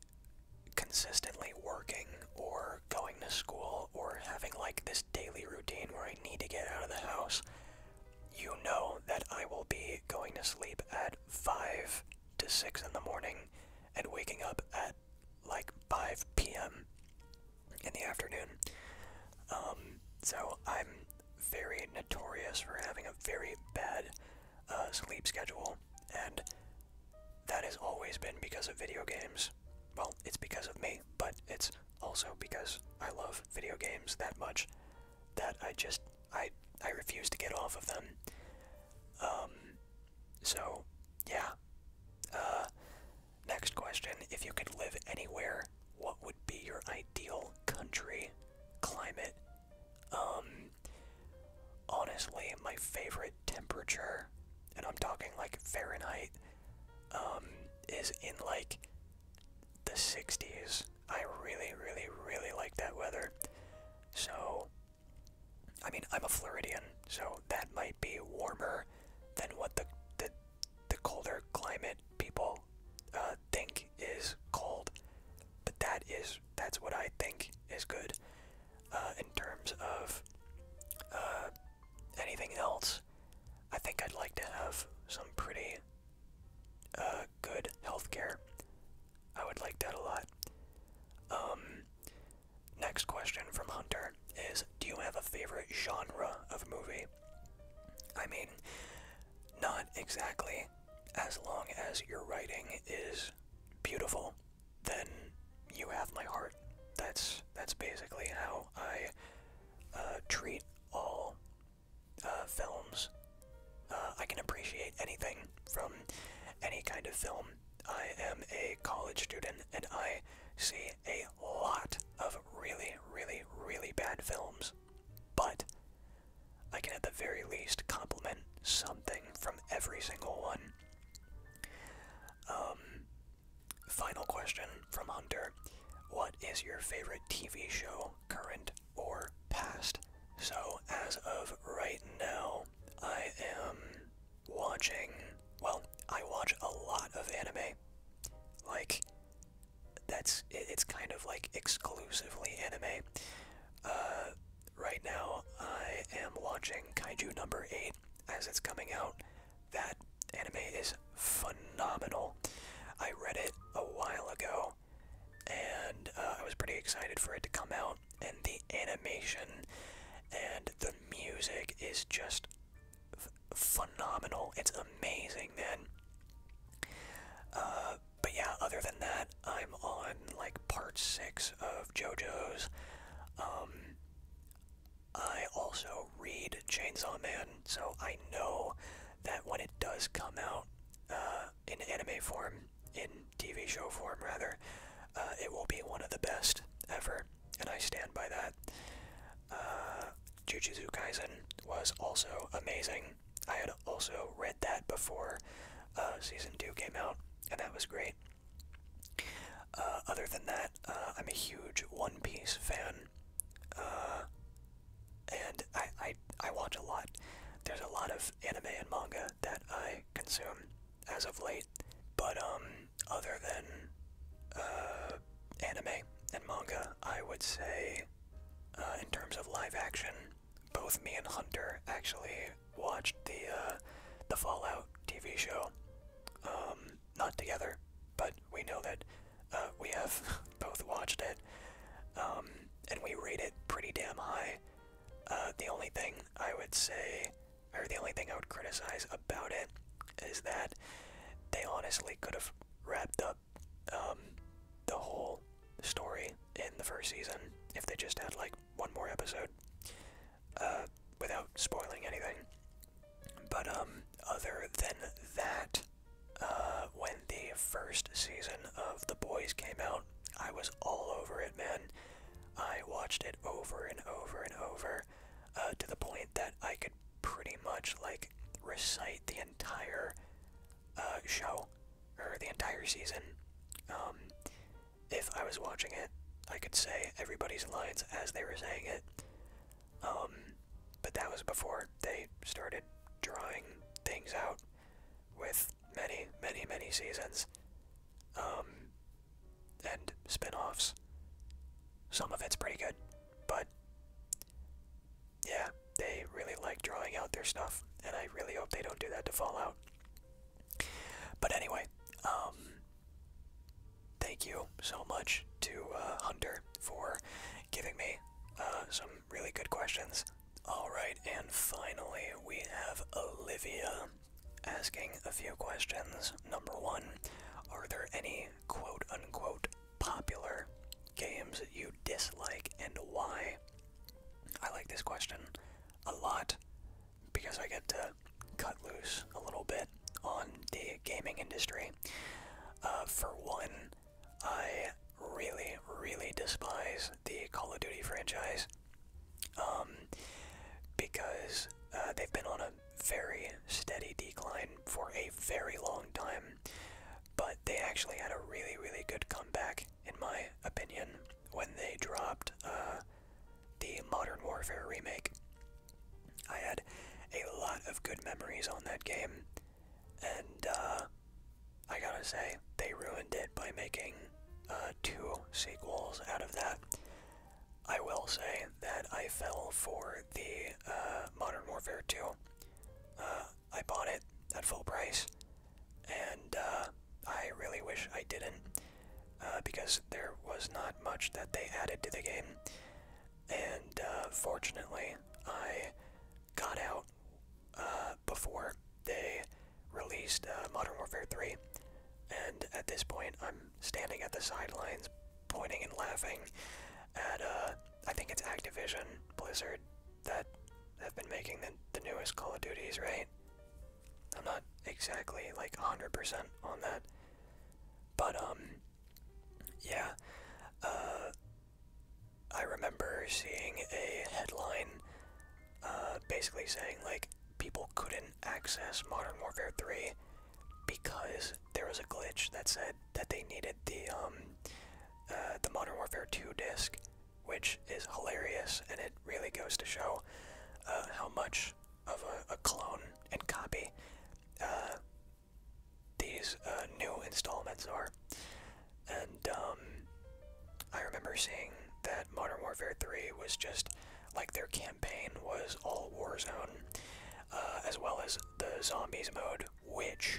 consistently working or going to school or having like this daily routine where I need to get out of the house, you know that I will be going to sleep at 5 to 6 in the morning and waking up at like 5 p.m. in the afternoon. Um, so I'm very notorious for having a very bad uh, sleep schedule, and that has always been because of video games. Well, it's because of me, but it's also because I love video games that much that I just I I refuse to get off of them. Um, so yeah. Uh, next question: If you could live anywhere, what would be your ideal country, climate, um, honestly, my favorite temperature, and I'm talking like Fahrenheit, um, is in like the 60s. I really, really, really like that weather. So, I mean, I'm a Floridian, so that might be warmer than what the the, colder climate people, uh, uh, think is cold, but that is that's what I think is good. Uh, in terms of uh, anything else, I think I'd like to have some pretty uh, good healthcare. I would like that a lot. Um, next question from Hunter is: Do you have a favorite genre of movie? I mean, not exactly as long as your writing is beautiful, then you have my heart. That's that's basically how I uh, treat all uh, films. Uh, I can appreciate anything from any kind of film. I am a college student and I see a lot of really, really, really bad films but I can at the very least compliment something from every single one. Um, final question from Hunter What is your favorite TV show, current or past? So, as of right now, I am watching. Well, I watch a lot of anime. Like, that's. It's kind of like exclusively anime. Uh, right now, I am watching Kaiju number 8 as it's coming out. That anime is phenomenal. I read it a while ago, and uh, I was pretty excited for it to come out. And the animation and the music is just phenomenal. It's amazing, man. Uh, but yeah, other than that, I'm on like part six of JoJo's. Um, I also read Chainsaw Man, so I know that when it does come out uh, in anime form, in TV show form rather, uh, it will be one of the best ever, and I stand by that. Uh, Jujutsu Kaisen was also amazing. I had also read that before uh, season two came out, and that was great. Uh, other than that, uh, I'm a huge One Piece fan, and I, I I watch a lot. There's a lot of anime and manga that I consume as of late, but um, other than anime and manga, I would say, in terms of live action, both me and Hunter actually watched the uh, the Fallout TV show. Um, not together, but we know that uh, we have both watched it, um, and we rate it pretty damn high. Uh, the only thing I would say, or the only thing I would criticize about it, is that they honestly could have wrapped up um, the whole story in the first season if they just had like one more episode uh, without spoiling anything. But um, other than that, uh, when the first season of The Boys came out, I was all over it, man. I watched it over and over and over uh, to the point that I could pretty much like recite the entire show or the entire season. Um, if I was watching it, I could say everybody's lines as they were saying it. Um, but that was before they started drawing things out with many, many, many seasons um, and spin offs. Some of it's pretty good, but yeah, they really like drawing out their stuff, and I really hope they don't do that to Fallout. But anyway, um, thank you so much to uh, Hunter for giving me uh, some really good questions. Alright, and finally we have Olivia asking a few questions. Number one, are there any quote unquote popular games you dislike and why? I like this question a lot because I get to cut loose a little bit on the gaming industry. Uh, for one, I really, really despise the Call of Duty franchise um, because uh, they've been on a very steady decline for a very long time, but they actually had a really, really good comeback in my opinion, when they dropped uh, the Modern Warfare remake. I had a lot of good memories on that game, and uh, I gotta say, they ruined it by making uh, two sequels out of that. I will say that I fell for the Modern Warfare 2. I bought it at full price and uh, I really wish I didn't, uh, because there was not much that they added to the game. And uh, fortunately, I got out before they released Modern Warfare 3. And at this point, I'm standing at the sidelines, pointing and laughing at, I think it's Activision, Blizzard, that have been making the, the newest Call of Duties, right? I'm not exactly like 100% on that. But, um, yeah. Uh, I remember seeing a headline uh, basically saying, like, people couldn't access Modern Warfare 3 because there was a glitch that said that they needed the, um, uh, the Modern Warfare 2 disc which is hilarious, and it really goes to show uh, how much of a, clone and copy uh, these uh, new installments are. And um, I remember seeing that Modern Warfare 3 was just like their campaign was all Warzone, as well as the Zombies mode, which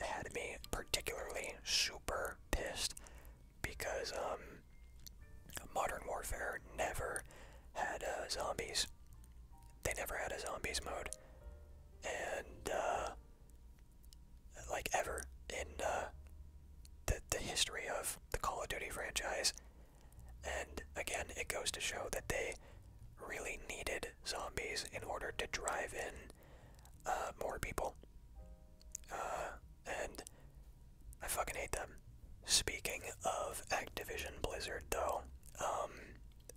had me particularly super pissed because um, Modern Warfare never had uh, zombies. They never had a zombies mode, and uh, like ever in uh, the the history of the Call of Duty franchise. And again, it goes to show that they really needed zombies in order to drive in uh, more people. Uh, and I fucking hate them. Speaking of Activision Blizzard, though, um,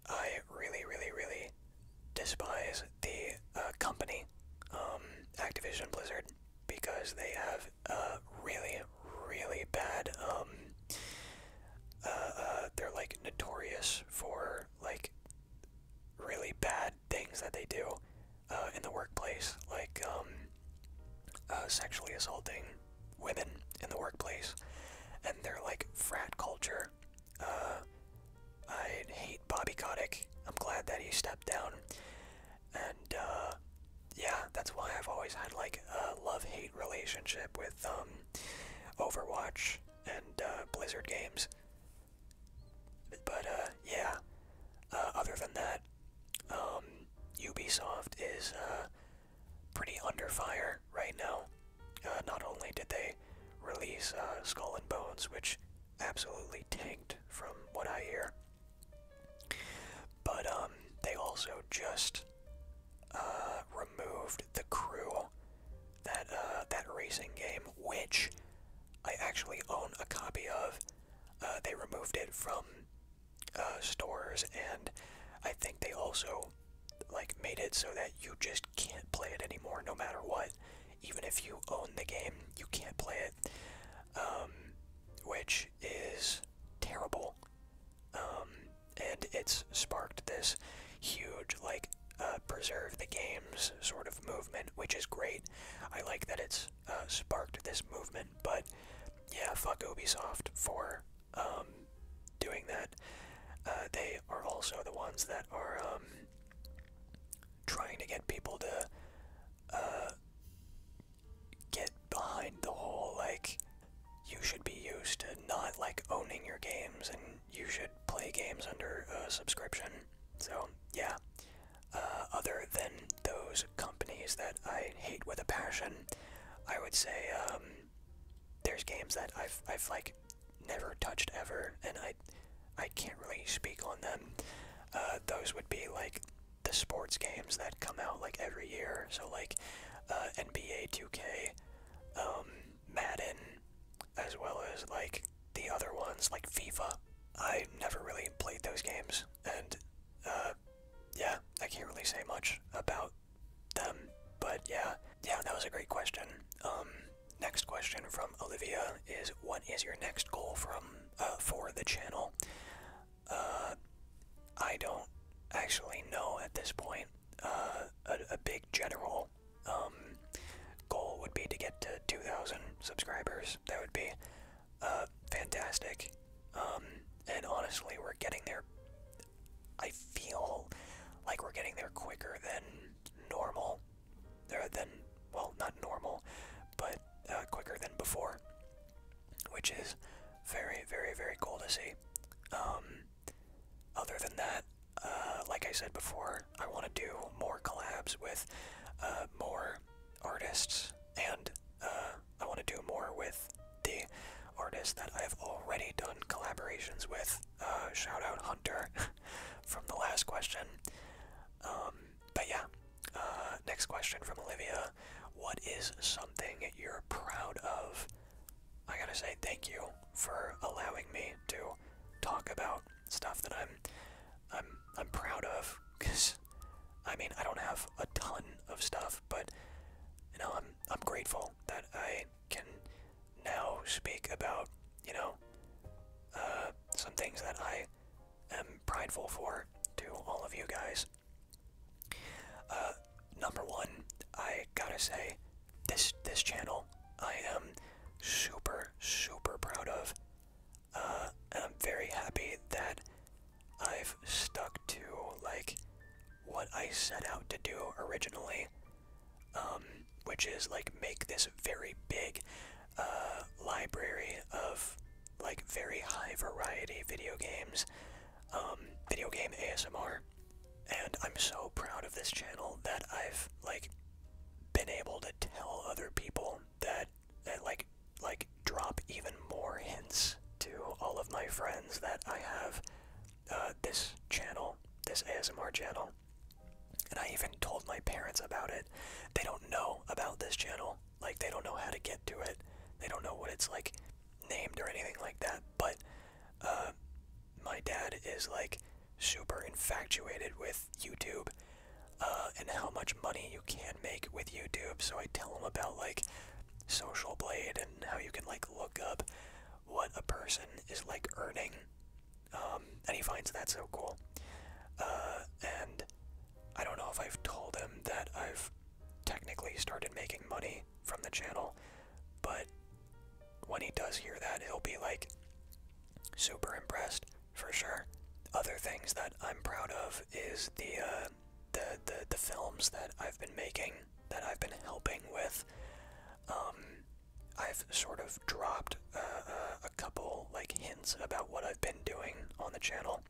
I really, really, really despise the uh, company, um, Activision Blizzard, because they have uh, really, really bad. Um, they're like notorious for like really bad things that they do uh, in the workplace, like um, uh, sexually assaulting women in the workplace, and they're like frat culture. Uh, I hate Bobby Kotick. I'm glad that he stepped down, and yeah, that's why I've always had like a love-hate relationship with um, Overwatch and Blizzard games. But uh, yeah. Uh, other than that, um, Ubisoft is uh, pretty under fire right now. not only did they release Skull and Bones, which absolutely tanked from what I hear, but um, they also just removed the crew that that racing game, which I actually own a copy of. Uh, they removed it from uh, stores, and I think they also like made it so that you just can't play it anymore, no matter what. Even if you own the game, you can't play it, um, which is terrible. Um, and it's sparked this huge like uh, preserve the games sort of movement, which is great. I like that it's uh, sparked this movement, but yeah, fuck Ubisoft for um, doing that. Uh, they are also the ones that are um, trying to get people to uh, get behind the whole like you should be used to not like owning your games and you should play games under a subscription. So yeah, uh, other than those companies that I hate with a passion, I would say um, there's games that I've I've like never touched ever, and I I can't really speak on them. Uh, those would be like the sports games that come out like every year, so like uh, NBA 2K, um, Madden, as well as like the other ones like FIFA. I never really played those games, and uh, yeah, I can't really say much about them. But yeah, yeah, that was a great question. Um, next question from Olivia is, "What is your next goal from uh, for the channel?" Uh, I don't actually know at this point. Uh, a, a big general um, goal would be to get to 2,000 subscribers. That would be uh, fantastic. Um, and honestly, we're getting there. I feel like we're getting there quicker than normal. Or uh, than, well, not normal, but uh, quicker than before. Which is very, very, very cool to see. Um, other than that, uh, like I said before, I want to do more collabs with uh, more artists, and uh, I want to do more with the artists that I've already done collaborations with. Uh, shout out Hunter from the last question. Um, but yeah, uh, next question from Olivia. What is something you're proud of? I gotta say thank you for allowing me to talk about stuff that I'm I'm I'm proud of because I mean I don't have a ton of stuff, but you know I'm I'm grateful that I can now speak about you know uh, some things that I am prideful for to all of you guys. Uh, number one, I gotta say this this channel I am super super proud of. Uh, I'm very happy that I've stuck to like what I set out to do originally, um, which is like make this very big uh, library of like very high variety video games, um, video game ASMR, and I'm so proud of this channel that I've like been able to tell other people that that uh, like like drop even more hints to all of my friends that I have uh, this channel, this ASMR channel. And I even told my parents about it. They don't know about this channel. Like, they don't know how to get to it. They don't know what it's, like, named or anything like that. But, uh, my dad is, like, super infatuated with YouTube uh, and how much money you can make with YouTube. So I tell him about like Social Blade and how you can like look up what a person is like earning. Um, and he finds that so cool. Uh, and I don't know if I've told him that I've technically started making money from the channel, but when he does hear that, he'll be like super impressed for sure. Other things that I'm proud of is uh, the the, the films that I've been making that I've been helping with. Um, I've sort of dropped uh, uh, a couple like hints about what I've been doing on the channel,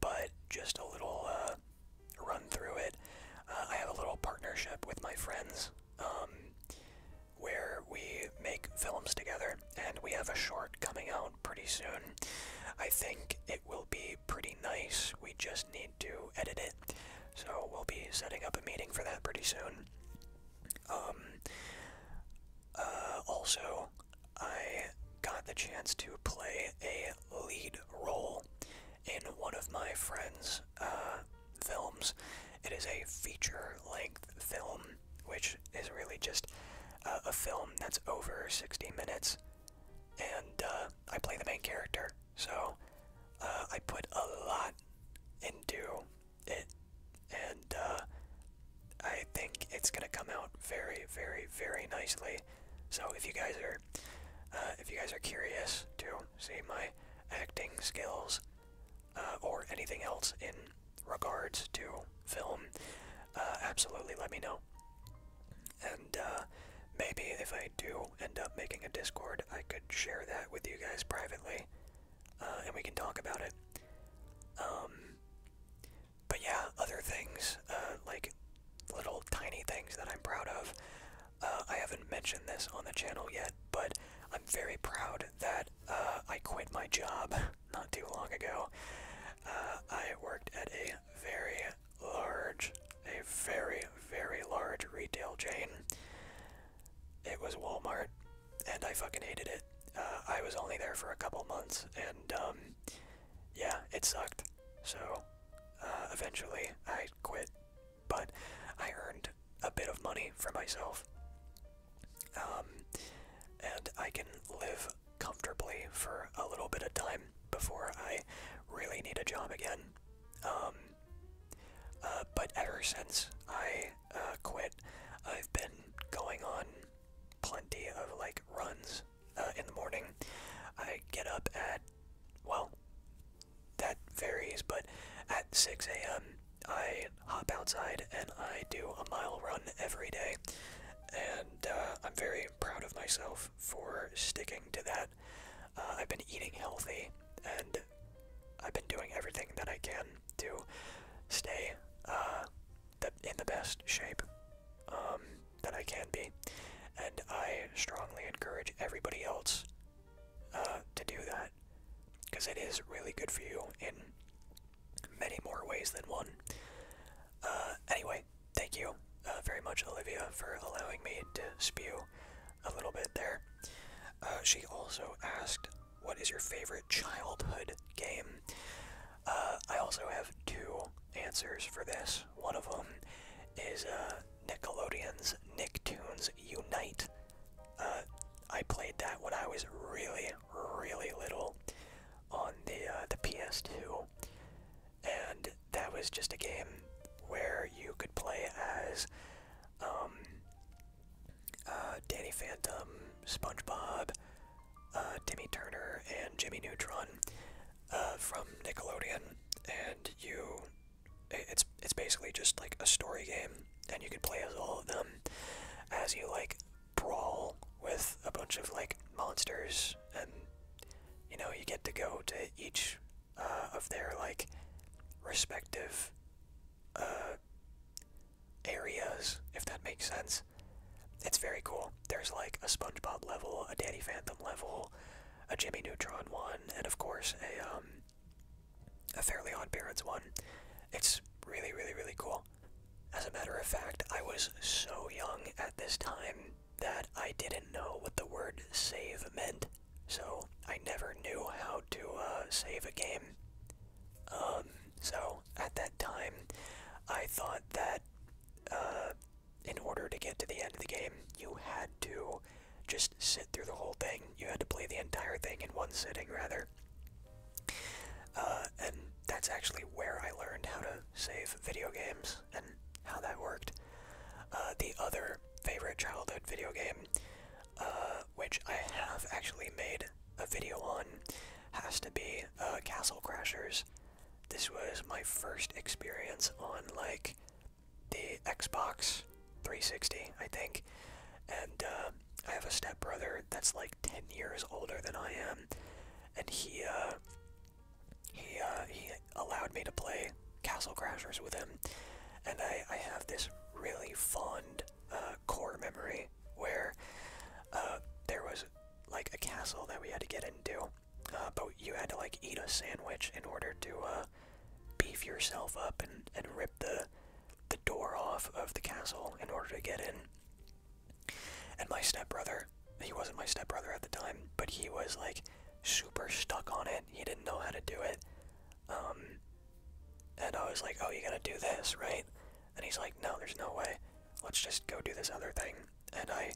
but just a little run through it. I have a little partnership with my friends. Um, where we make films together, and we have a short coming out pretty soon. I think it will be pretty nice. We just need to edit it, so we'll be setting up a meeting for that pretty soon. Um, uh, also, I got the chance to play a lead role in one of my friends' uh, films. It is a feature length film which is really just a film that's over 60 minutes. And uh, I play the main character, so uh, I put a lot into it, and uh, I think it's gonna come out very, very, very nicely. So if you guys are, if you guys are curious to see my acting skills, uh, or anything else in regards to film, uh, absolutely let me know. And uh, maybe if I do end up making a Discord, I could share that with you guys privately, and we can talk about it. Um, but yeah, other things, like little tiny things that I'm proud of. I haven't mentioned this on the channel yet, but I'm very proud that I quit my job not too long ago, uh, I worked at a very large, a very, very large retail chain. It was Walmart, and I fucking hated it. Uh, I was only there for a couple months, and um, yeah, it sucked. So uh, eventually I quit, but I earned a bit of money for myself. Um, and I can live comfortably for a little bit of time before I really need a job again. Um, uh, but ever since I uh, quit, I've been going on plenty of like runs uh, in the morning. I get up at, well, that varies, but at 6 a.m. I hop outside and I do a mile run every day, and uh, I'm very proud of myself for sticking to that. Uh, I've been eating healthy, and I've been doing everything that I can to stay uh, in the best shape um, that I can be, and I strongly encourage everybody else uh, to do that because it is really good for you in many more ways than one. Uh, anyway, thank you uh, very much, Olivia, for allowing me to spew a little bit there. Uh, she also asked, What is your favorite childhood game? I also have two answers for this. One of them is Nickelodeon's Nicktoons Unite. I played that when I was really really little on the uh, the PS2, and that was just a game where you could play as um, uh, Danny Phantom, SpongeBob, uh, Timmy Turner, and Jimmy Neutron from Nickelodeon, and you it's it's basically just like a story game, and you could play as all of them as you like brawl with a bunch of like monsters and you know you get to go to each uh, of their like respective uh, areas if that makes sense it's very cool there's like a spongebob level a danny phantom level a jimmy neutron one and of course a um, a fairly odd parents one it's really really really cool as a matter of fact, I was so young at this time that I didn't know what the word save meant, so I never knew how to uh, save a game. Um, so at that time, I thought that uh, in order to get to the end of the game, you had to just sit through the whole thing. You had to play the entire thing in one sitting rather uh, and that's actually where I learned how to save video games and how that worked. Uh, the other favorite childhood video game, uh, which I have actually made a video on, has to be Castle Crashers. This was my first experience on like the Xbox 360, I think, and um, I have a stepbrother that's like 10 years older than I am, and he, uh, he, uh, he allowed me to play Castle Crashers with him, and I, I have this really fond, uh, core memory where, there was, like, a castle that we had to get into, but you had to, like, eat a sandwich in order to, beef yourself up and, and rip the, the door off of the castle in order to get in. And my stepbrother, he wasn't my stepbrother at the time, but he was like super stuck on it. He didn't know how to do it. Um, and I was like, oh, you are going to do this, right? And he's like, no, there's no way. Let's just go do this other thing. And I,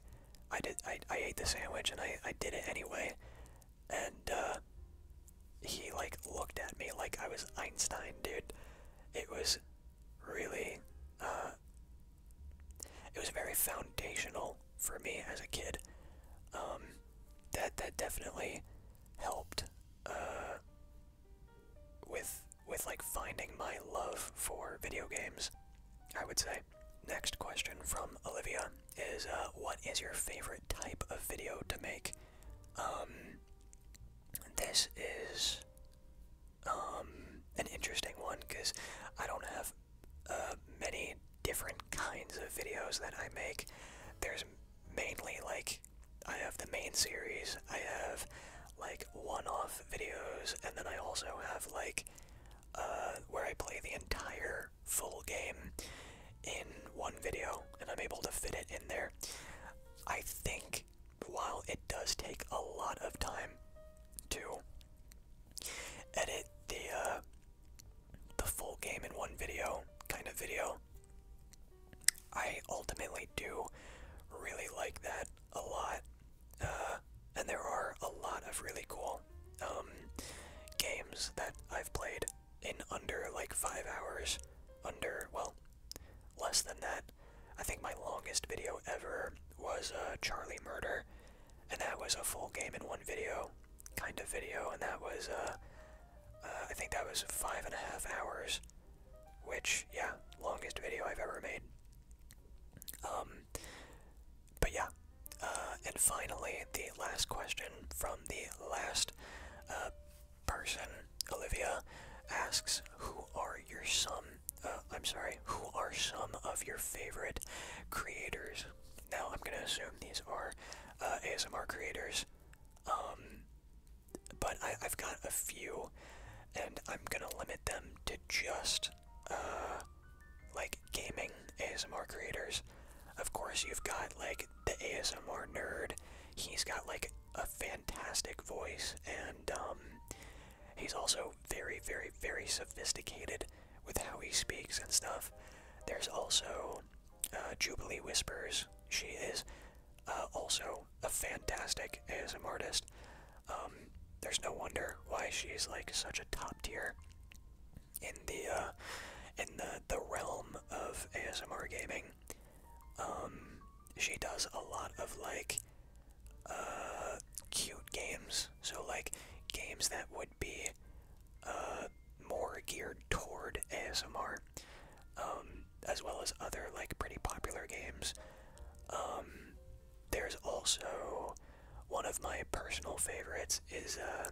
I did, I, ate the sandwich and I, I did it anyway. And, uh, he like looked at me like I was Einstein, dude. It was really, uh, it was very foundational for me as a kid. Um, that that definitely helped uh, with with like finding my love for video games. I would say. Next question from Olivia is, uh, what is your favorite type of video to make? Um, this is um, an interesting one because I don't have uh, many different kinds of videos that I make. There's mainly like I have the main series, I have like one off videos, and then I also have like uh, where I play the entire full game in one video and I'm able to fit it in there. I think while it does take a lot of time to edit the uh, the full game in one video kind of video, I ultimately do really like that a lot. Uh, and there are a lot of really cool um, games that I've played in under like five hours, under well less than that. I think my longest video ever was uh, Charlie Murder, and that was a full game in one video kind of video, and that was, uh, uh I think that was five and a half hours, which, yeah, longest video I've ever made. Um, but yeah, uh, and finally, the last question from the last, uh, person Olivia asks, "Who are your some? Uh, I'm sorry, who are some of your favorite creators?" Now I'm gonna assume these are uh, ASMR creators, um, but I, have got a few, and I'm gonna limit them to just uh, like gaming ASMR creators. Of course, you've got like the ASMR nerd. He's got like a fantastic voice, and um, He's also very, very, very sophisticated with how he speaks and stuff. There's also uh, Jubilee Whispers. She is uh, also a fantastic ASMR artist. Um, there's no wonder why she's like such a top tier in the uh, in the the realm of ASMR gaming. Um, she does a lot of like uh, cute games. So like games that would be uh, more geared toward ASMR, um, as well as other like pretty popular games. Um, there's also one of my personal favorites is uh,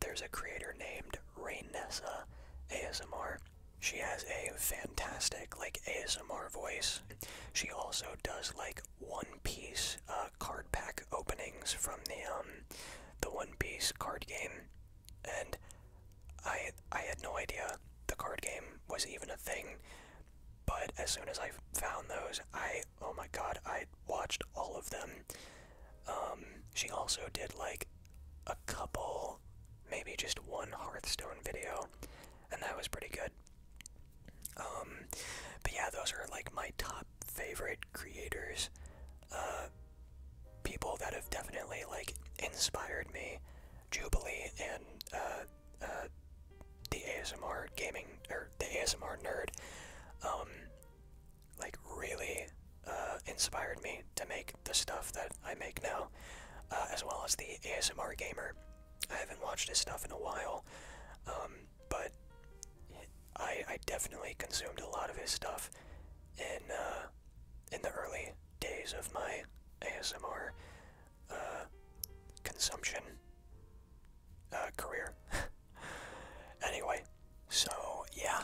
there's a creator named Rainessa ASMR, she has a fantastic like ASMR voice. She also does like One Piece uh, card pack openings from the um the One Piece card game, and I I had no idea the card game was even a thing. But as soon as I found those, I oh my god, I watched all of them. Um, she also did like a couple, maybe just one Hearthstone video, and that was pretty good. Um, but yeah, those are like my top favorite creators, uh, people that have definitely like inspired me. Jubilee and uh, uh, the ASMR gaming or the ASMR nerd, um, like really inspired me to make the stuff that I make now, as well as the ASMR gamer. I haven't watched his stuff in a while, um, but I, definitely consumed a lot of his stuff in uh, in the early days of my ASMR uh, consumption uh, career. anyway, so yeah,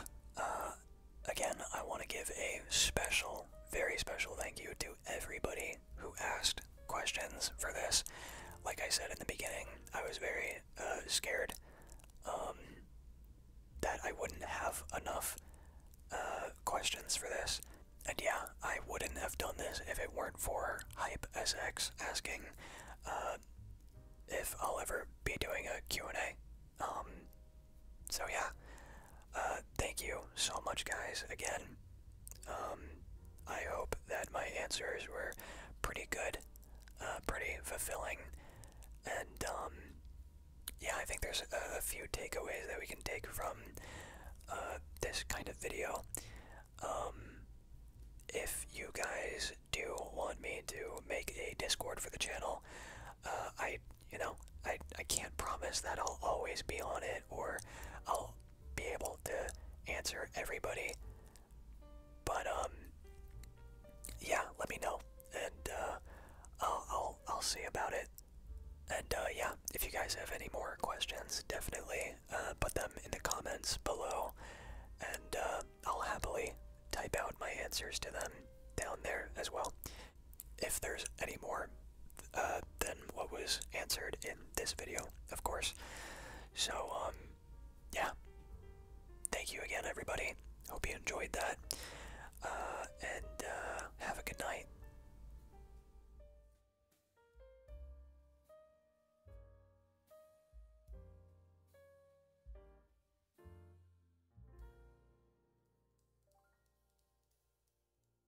again, I want to give a special, very special thank you to everybody who asked questions for this. Like I said in the beginning, I was very uh, scared um, that I wouldn't have enough uh, questions for this. And yeah, I wouldn't have done this if it weren't for Hype SX asking uh, if I'll ever be doing a Q&A. Um, so yeah, uh, thank you so much, guys, again. Um, I hope that my answers were pretty good, uh, pretty fulfilling, and um, yeah, I think there's a, few takeaways that we can take from uh, this kind of video. Um, if you guys do want me to make a Discord for the channel, uh, I, you know, I, I can't promise that I'll always be on it or I'll be able to answer everybody. But um yeah, let me know and uh I'll I'll, I'll see about it. And uh yeah, if you guys have any more questions, definitely uh put them in the comments below and uh I'll happily type out my answers to them down there as well. If there's any more uh, than what was answered in this video, of course. So, um, yeah. Thank you again, everybody. Hope you enjoyed that. Uh, and uh, have a good night.